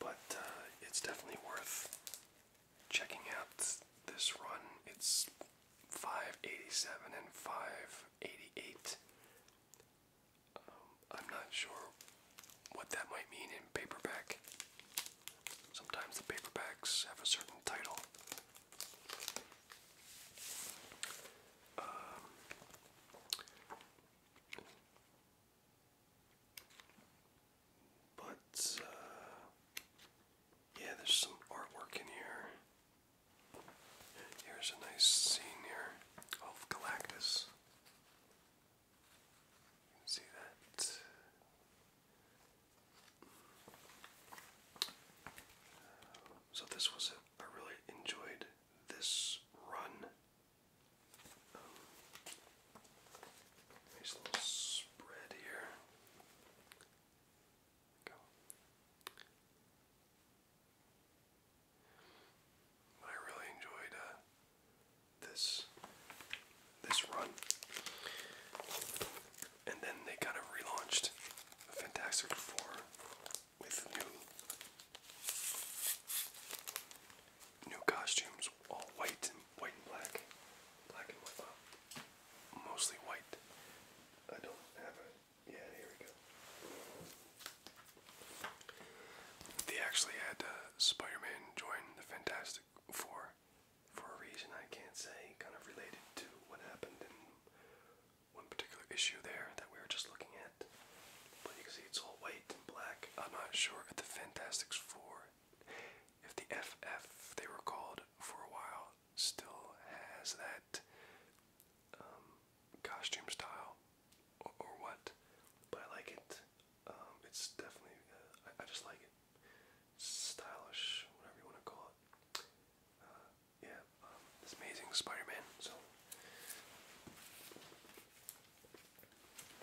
but uh, it's definitely worth checking out this run. It's 587 and 588. Um, I'm not sure what that might mean in paperback. Sometimes the paperbacks have a certain title. Um, but, uh, yeah, there's some artwork in here. Here's a nice scene here of Galactus. You can see that. So this was it. really enjoyed this run. nice little spread here. Go. I really enjoyed uh, this this run. And then they kind of relaunched Fantastic Four with new new costumes, all white and white and black, black and white, mostly white. I don't have a yeah, here we go. They actually had uh, join the Fantastic Four for a reason I can't say, kind of related to what happened in one particular issue there that we were just looking at. But you can see it's all white and black. I'm not sure if the Fantastic Four, if the FF they were called for a while, still has that um, costume style or, what, but I like it. Um, it's definitely, uh, I, just like it. Stylish, whatever you want to call it. Uh, yeah, um, amazing Spider-Man. So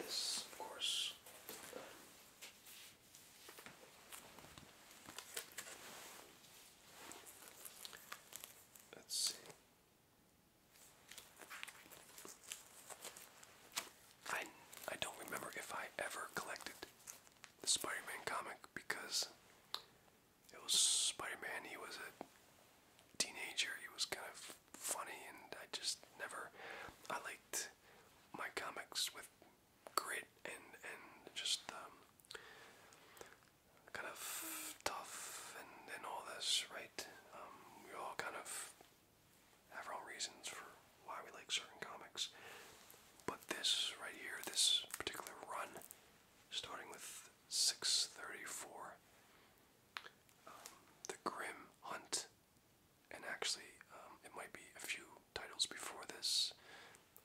this, of course. Let's see. I, I don't remember if I ever collected the Spider Man comic because it was Spider Man, he was a teenager, he was kind of funny, and I just never. I liked my comics with grit and, and just um, kind of tough and, and all this, right? Um, we all kind of have our own reasons for why we like certain comics. But this right here, this particular run, starting with 634, um, The Grim Hunt, and actually um, it might be a few titles before this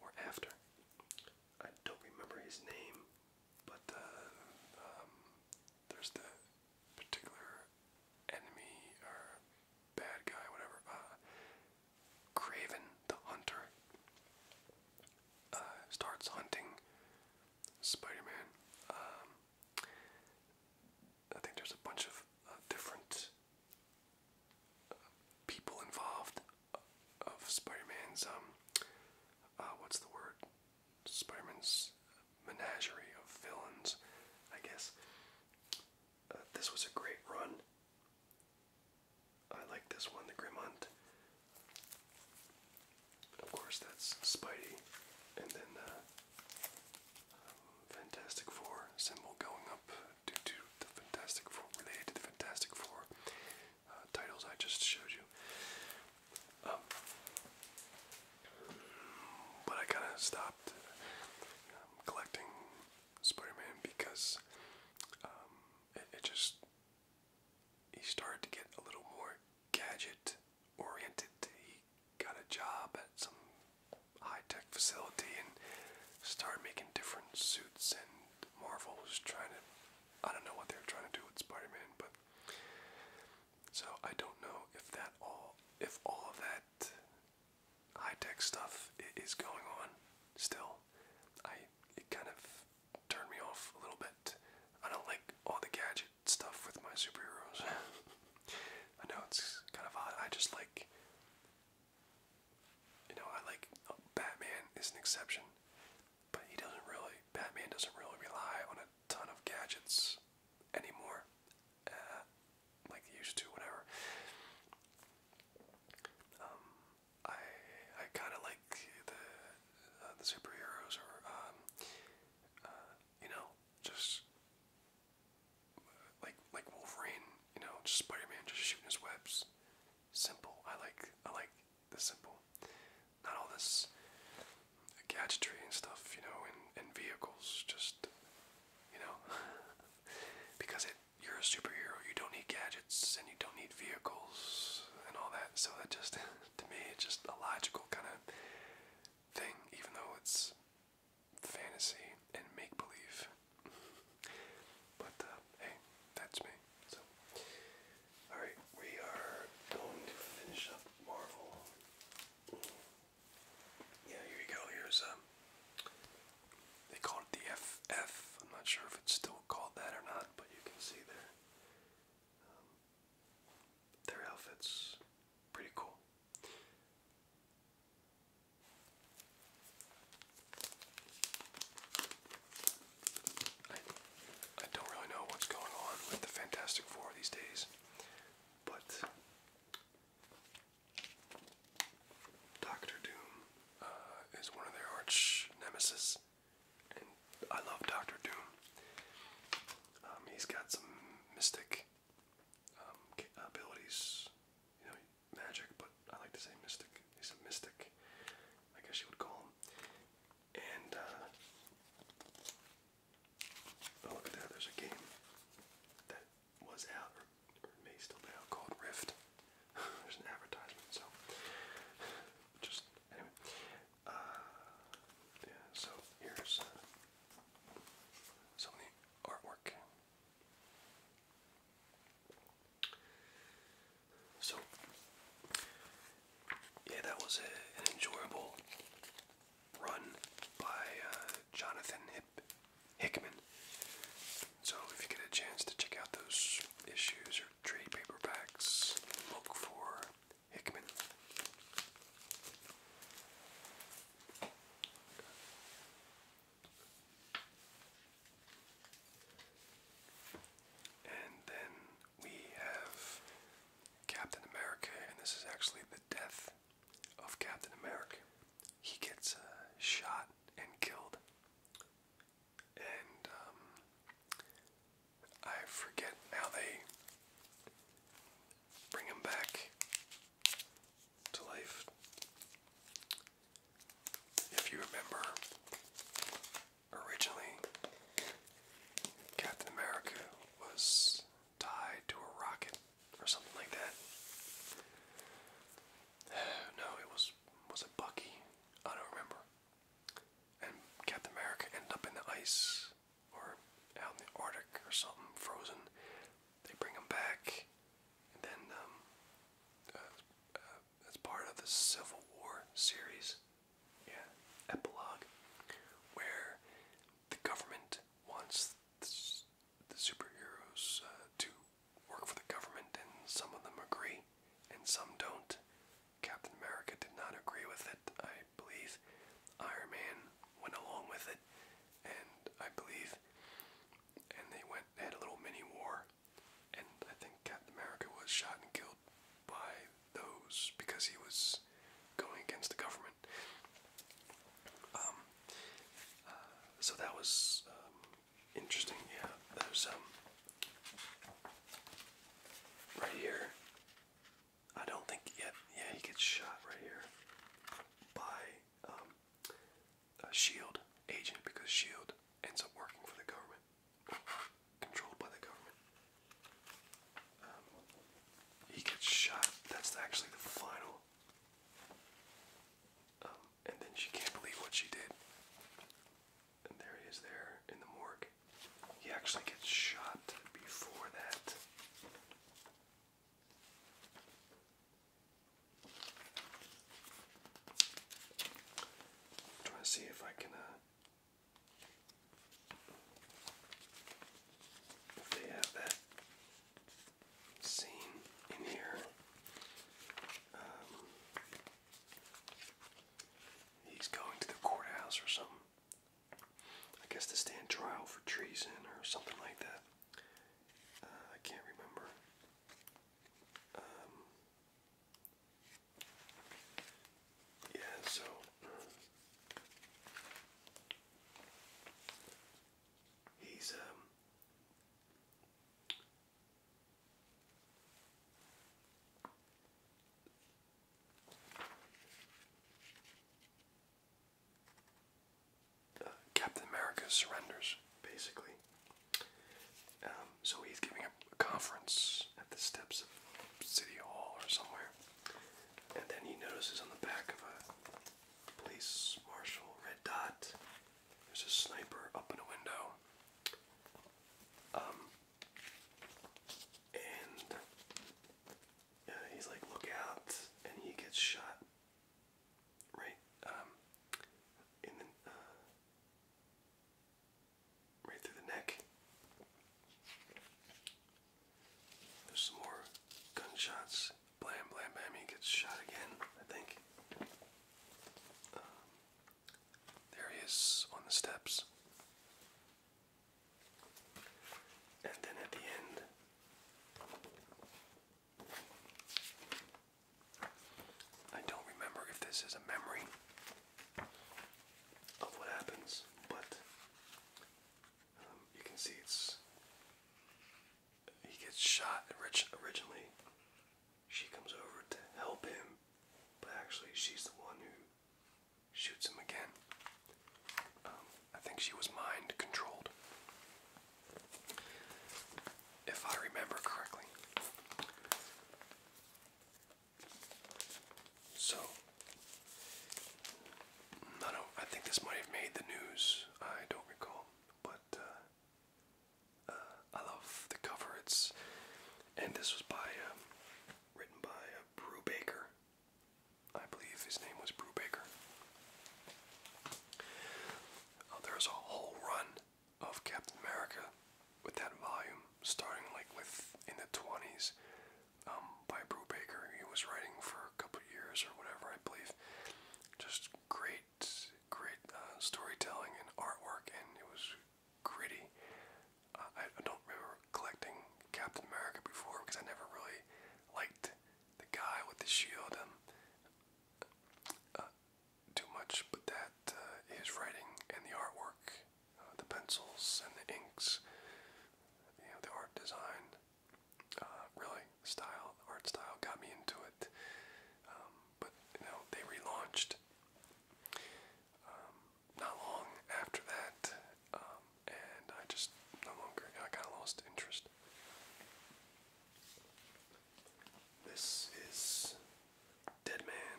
or after. I don't remember his name but then uh, um, there's the particular enemy or bad guy, whatever. Uh, the Hunter uh, starts hunting Spider-Man. Um, I think there's a bunch of different uh, people involved of Spider-Man's um, what's the word? Spider Man's menagerie of villains, I guess. Uh, this was a great run. I like this one, the Grim Hunt. Of course, that's Spidey, and then uh, Fantastic Four symbol going up due to the Fantastic Four, related the Fantastic Four. Uh, titles I just showed you. Um, but I kind of stopped um, collecting Spider-Man because um, it just he started to get a little more gadget oriented. He got a job at some high-tech facility and started making different suits. And Marvel was trying to—I don't know what they were trying to do with Spider-Man, but so I don't know if that all if all of that high-tech stuff is going on still. I it kind of turned me off a little bit. I don't like all the gadget stuff with my superheroes. I know it's kind of odd. I just like you know, I like uh, Batman is an exception. But he doesn't really, Batman doesn't really rely on a ton of gadgets anymore, uh, like he used to, whatever. Um, I I kind of like the uh, the superheroes, or um, uh, you know, just like like Wolverine, you know, just Spider-Man just shooting his webs. Simple. I like I like this simple. Not all this gadgetry and stuff, you know, and, and vehicles, just, you know, because it, you're a superhero, you don't need gadgets and you don't need vehicles and all that. So that just, to me, it's just a logical kind of thing, even though it's fantasy and make believe. but uh, hey, that's me. So Alright, we are going to finish up Marvel. Yeah, here you go. Here's um they call it the FF. I'm not sure if it's still called that or not, but you can see their um, their outfits. Pretty cool. I, don't really know what's going on with the Fantastic Four these days, but Doctor Doom uh, is one of their arch nemesis, and I love Doctor Doom. Um, he's got some mystic um, abilities, you know, magic, but I like to say mystic. He's a mystic, I guess you would call him. And uh, oh, look at that! There's a game that was out, or, may still be out, called Rift. there's an advertisement, so just anyway. Uh, yeah. So here's some of the artwork. So, yeah, that was an enjoyable run by uh, Jonathan Hickman. So, if you get a chance to check out those issues or trade paperbacks, look for Hickman. And then we have Captain America, and this is actually the death of Captain America. He gets uh, shot and killed. And um, I forget how they bring him back to life. If you remember, Originally, Captain America was tied to a rocket or something like that. No, it was was it Bucky? I don't remember. And Captain America ended up in the ice or out in the Arctic or something, frozen. They bring him back, and then um, uh, uh, as part of the Civil War series, yeah, epilogue, where the government wants the, superheroes uh, to work for the government, and some of them agree, and some don't. Captain America did not agree with it, I believe. Iron Man went along with it, and I believe, and they went had a little mini war, and I think Captain America was shot and killed by those because he was going against the government. Um, uh, so that was um, interesting. Yeah, there's um, right here. I don't think yet. Yeah, yeah, he gets shot right here by um, a Shield agent because Shield ends up working for the government controlled by the government. Um, he gets shot. That's actually the final. Um, and then she can't believe what she did. And there he is, there in the morgue. He actually gets shot before that. trying to see if I can uh, they have that scene in here. Um, he's going to the courthouse or something. I guess to stand trial for treason or something like that. Uh, I can't remember. Um, yeah, so he's um, uh, Captain America surrenders, basically. Um, so he's giving a, a conference at the steps of City Hall or somewhere. And then he notices on the back of a police marshal red dot, there's a sniper up in a window. Um, and he's like, look out, and he gets shot. Right, um, in the, uh, right through the neck. There's some more gunshots. Blam, blam, bam. He gets shot again, I think. Um, there he is on the steps. And then at the end, I don't remember if this is a memory of what happens, but um, you can see it's he gets shot originally. She comes over to help him, but actually she's the one who shoots him again. Um, I think she was mind controlled, if I remember correctly. So, I don't. I think this might have made the news. I don't recall, but uh, uh, I love the cover. It's and this was by um, written by uh, Brew Baker. I believe his name was Brew Baker. Uh, oh, there's a whole run of Captain America with that volume, starting like with in the 20s um, by Brubaker. He was writing for a couple years or whatever, I believe. Just great, great uh, storytelling and artwork, and it was gritty. Uh, I, I don't remember collecting Captain America before because I never really liked the guy with the shield um, uh, too much, but that uh, his writing and the artwork uh, the pencils and the inks, you know, the art design. Uh, really, style, art style got me into it. Um, but you know, they relaunched um, not long after that, um, and I just no longer, I kind of lost interest. This is Dead Man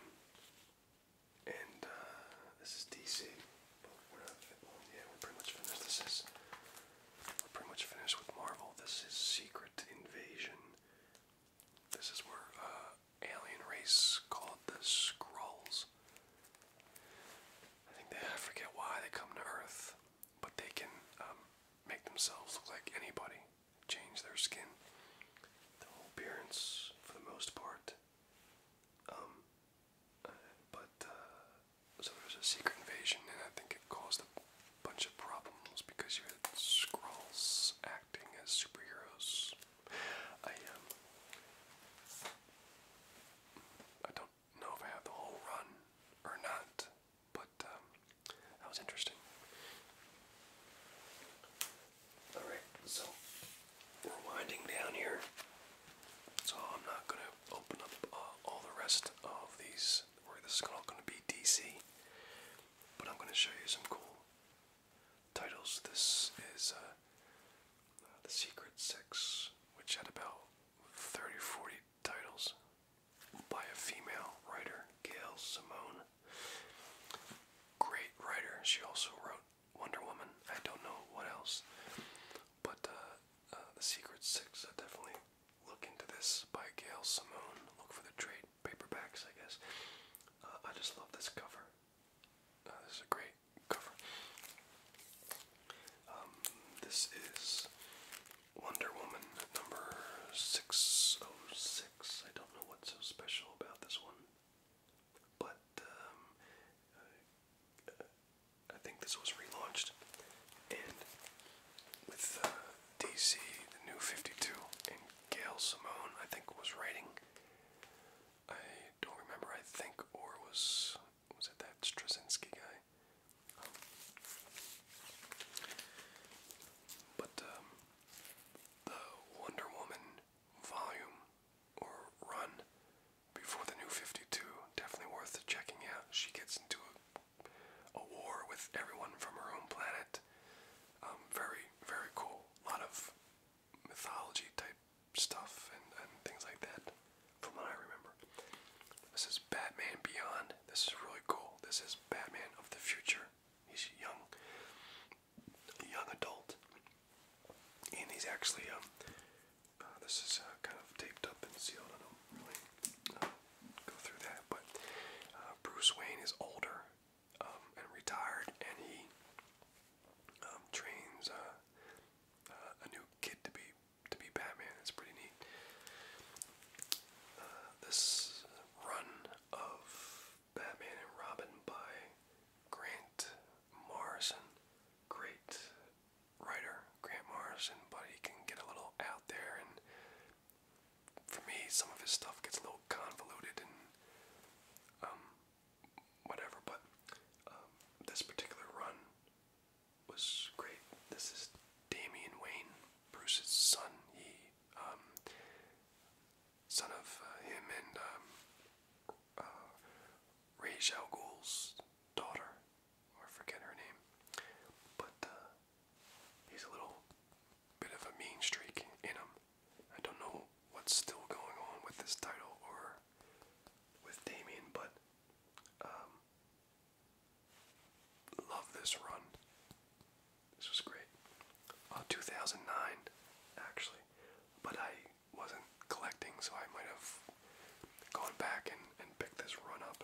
and uh, this is DC, yeah, we're pretty much finished. This is, we're pretty much finished with Marvel. This is Secret Invasion. This is where uh, alien race called the Skrulls. I think I forget why they come to Earth, but they can um, make themselves look like anybody, change their skin, their appearance for the most part. Um, but uh, so there's a secret invasion, and I think it caused a bunch of problems because you had Skrulls acting as superheroes. I um, I don't know if I have the whole run or not, but um, that was interesting. Alright, so we're winding down here. So I'm not going to open up uh, all the rest of these, this is all going to be DC. But I'm going to show you some cool titles. This is uh, The Secret Six, which had about 30 40 titles by a female writer, Gail Simone. Great writer. She also wrote Wonder Woman. I don't know what else, but uh, uh, the Secret Six. I definitely look into this by Gail Simone. Look for the trade paperbacks, I guess. Uh, I just love this cover. this is a great cover. Um, this is Wonder Woman number six oh six. I don't know what's so special about this one but um, uh, I think this was relaunched, and with uh, DC, the New 52, and Gail Simone, I think was writing. I don't remember. I think, or was was it that Straczynski guy? but um, the Wonder Woman volume or run before the new 52. Definitely worth checking out. She gets into a, war with everyone from her own planet. Um, very, very cool. A lot of mythology type stuff and things like that, from what I remember. This is Batman Beyond. This is really cool. This is Batman of the future. He's young young adult, and he's actually um, uh, this is uh, kind of taped up and sealed. I don't really uh, go through that, but uh, Bruce Wayne is older um, and retired, and he um, trains uh, uh, a new kid to be to be Batman. It's pretty neat. Uh, this run of Batman and Robin by Grant Morrison, great writer, Grant Morrison, but he can get a little out there, and for me, some of his stuff gets a little convoluted and um, whatever. But um, this particular run was great. This is Damian Wayne, Bruce's son. He, um, son of uh, him and Ray uh, Raj daughter, or I forget her name, but uh, he's a little bit of a mean streak in him. I don't know what's still going on with this title or with Damien, but um, love this run. This was great. Uh, 2009, actually, but I wasn't collecting, so I might have gone back and, and picked this run up.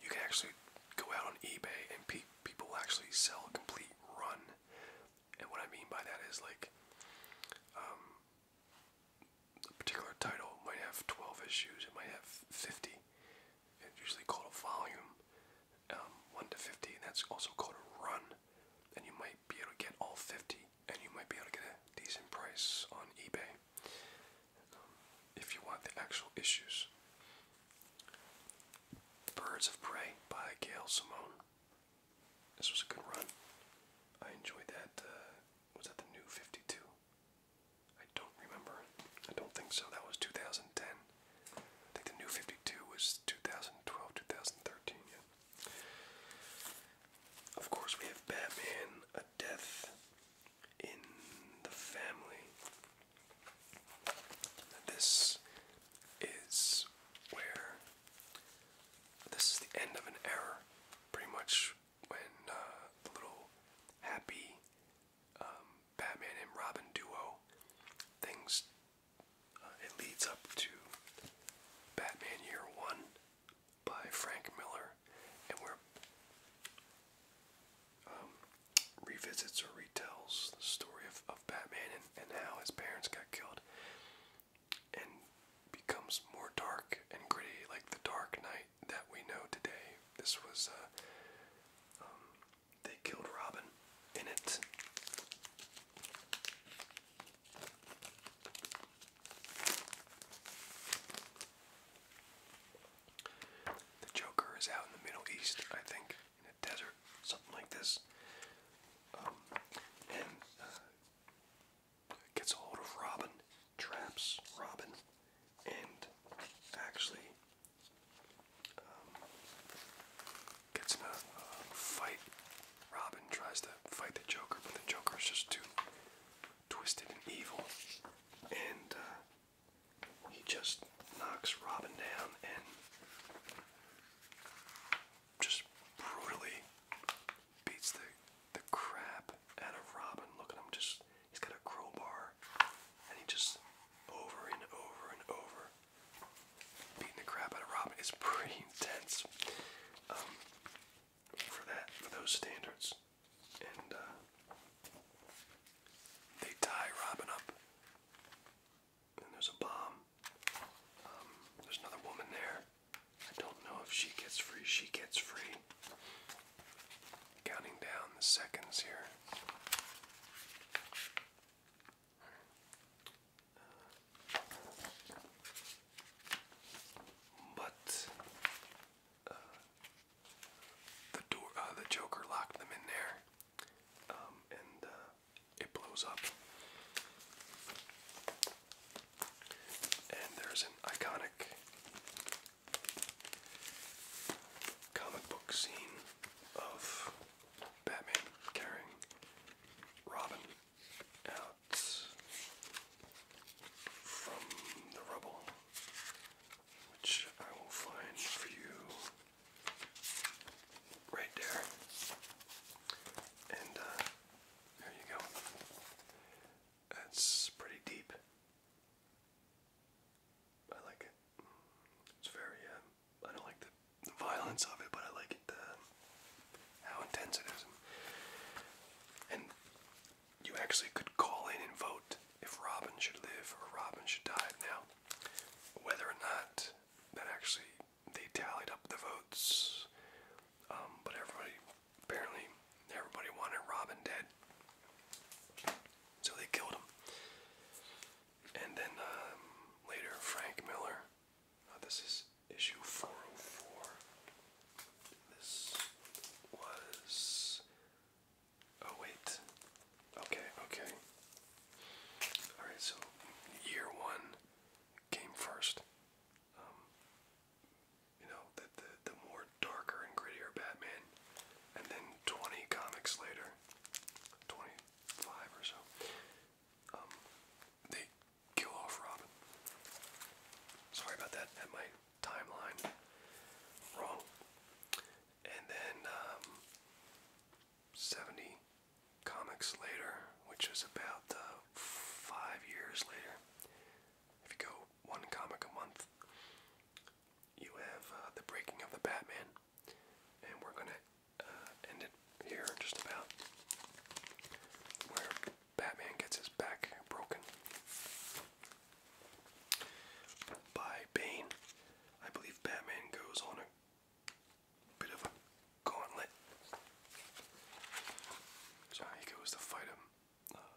You can actually go out on eBay and pe people actually sell complete run. And what I mean by that is like um, a particular title might have 12 issues, it might have 50. It's usually called a volume um, 1 to 50, that's also called a run. And you might be able to get all 50, and you might be able to get a decent price on eBay um, if you want the actual issues. Birds of Prey by Gail Simone. This was a good run. I enjoyed that. Uh, was that the new 52? I don't remember. I don't think so. That was 2010. I think the new 52 was 2012, Yeah. Of course, we have Batman, a death in the family. This is where this is the end of an era, pretty much when uh, the little happy um, Batman and Robin duo things uh, it leads up to Batman Year One by Frank Miller, and where um, revisits or retells the story of, of Batman and, and how his parents got killed, and becomes more dark and gritty, like the Dark Knight that we know today. This was uh, um, they killed Robin in it. The Joker is out in the Middle East, I think, in a desert, something like this. Um, and uh, gets a hold of Robin, traps Robin, and actually um, gets in a fight. Robin tries to fight the Joker, but the Joker is just too twisted and evil, and uh, he just knocks Robin down and just brutally beats the the crap out of Robin. Look him, just he's got a crowbar, and he just over and over and over beating the crap out of Robin is pretty intense um, for that, for those standards. And uh, they tie Robin up. And there's a bomb. Um, there's another woman there. I don't know if she gets free. She gets free. Counting down the seconds here. But uh, the door, uh, the Joker locked them in there, um, and uh, it blows up. And there's an iconic comic book scene of Batman carrying Robin out from the rubble, which I will find for you right there. And uh, there you go. That's pretty deep. I like it. It's very um, I don't like the, violence of it, but I like it the uh, how intense it is. And, you actually could call in and vote if Robin should live or Robin should die. Now, whether or not that actually they tallied up the votes, um, but everybody apparently everybody wanted Robin dead, so they killed him. And then um, later, Frank Miller. Oh, this is issue 404. This was. Oh, wait. Okay, okay. Alright, so year one came first. Um, you know, the, the, the more darker and grittier Batman. And then 20 comics later, 25 or so, um, kill off Robin. Sorry about that. Had my timeline wrong. And then um, 70 comics later, which is about uh, five years later. If you go one comic a month, you have uh, the breaking of the Batman, and we're gonna uh, ended here, just about where Batman gets his back broken by Bane. I believe Batman goes on a bit of a gauntlet. So he goes to fight him. Uh,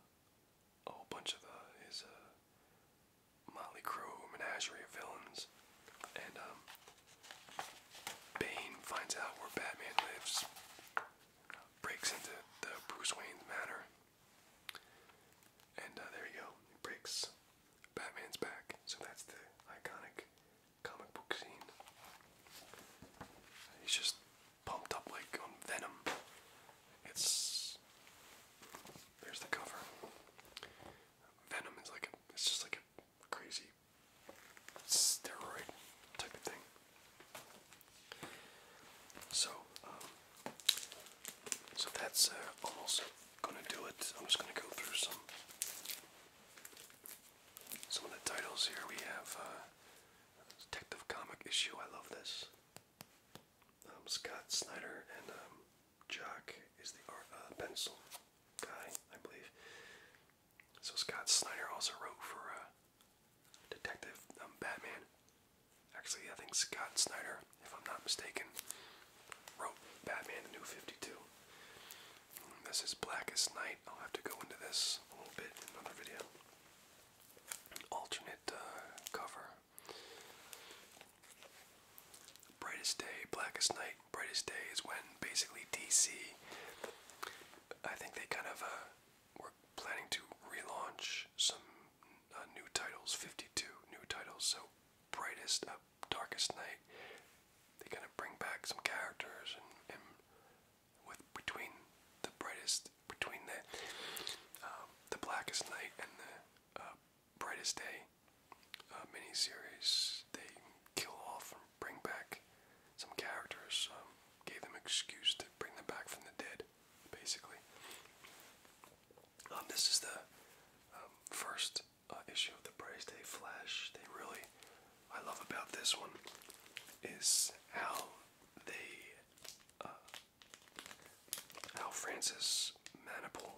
a whole bunch of uh, his uh, Motley Crue menagerie of villains. And um, Bane finds out where Batman lives, breaks into the Bruce Wayne's manor, and uh, there you go. breaks Batman's back. So that's the iconic comic book scene. He's just pumped up like on Venom. It's there's the cover. Venom is like it's just like a crazy steroid type thing. So, um, so that's uh, almost going to do it. I'm just going to go through some some of the titles here. We have uh, Detective Comic issue. I love this. Um, Scott Snyder and um, Jock is the art, uh, pencil guy, I believe. So Scott Snyder also wrote for uh, Detective um, Batman. Actually, I think Scott Snyder, if I'm not mistaken, wrote Batman New 52. This is Blackest Night. I'll have to go into this a little bit in another video. Alternate uh, cover. Brightest Day, Blackest Night brightest day is when basically DC, I think they kind of uh, were planning to relaunch some uh, new titles, 52 new titles. So brightest, uh, darkest night. They kind of bring back some characters and, with between the brightest, between the um, the blackest night and the uh, brightest day uh, miniseries they kill off and bring back some characters, um, gave them excuse to bring them back from the dead, basically. Um, this is the um, first uh, issue of the Price Day Flash. They really, I love about this one is how they, uh, how Francis Manipal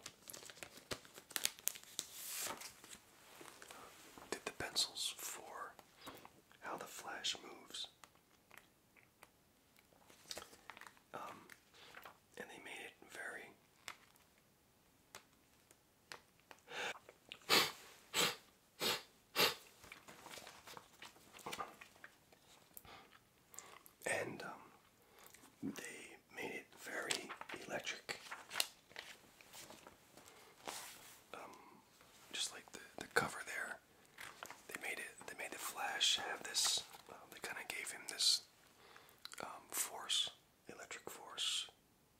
did the pencils for how the Flash moves. Um, and they made it very. And um, they made it very electric um, just like the the cover there. They made it. They made the Flash have this. Um, they kind of gave him this um, force, electric force,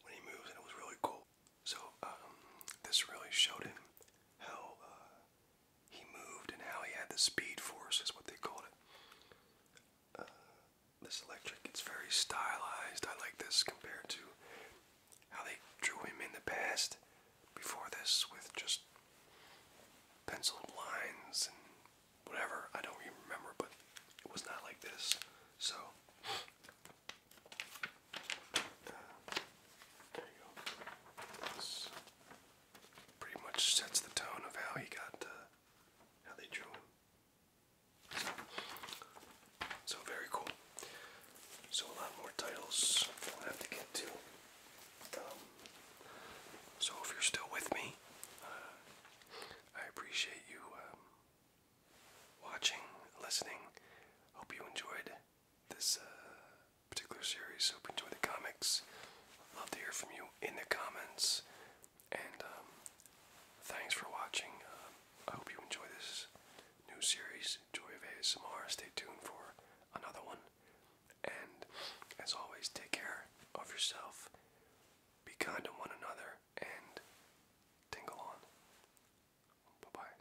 when he moves, and it was really cool. So um, this really showed him how uh, he moved and how he had the speed force, is what they called it. Uh, this electric, it's very stylized. I like this compared to how they drew him in the past before this with just penciled lines and whatever. I don't even remember, but it was not like this. So, there you go. This pretty much sets the tone of how he got, uh, how they drew him. So very cool. So a lot more titles we have to get to. Um, so if you're still with me, uh, I appreciate you um, watching, listening. Hope you enjoyed this uh, particular series. Hope you enjoyed the comics. Love to hear from you in the comments. And um, thanks for watching. I hope you enjoy this new series, Joy of ASMR. Stay tuned for another one. And as always, take care of yourself, be kind to one another, and tingle on. Bye bye.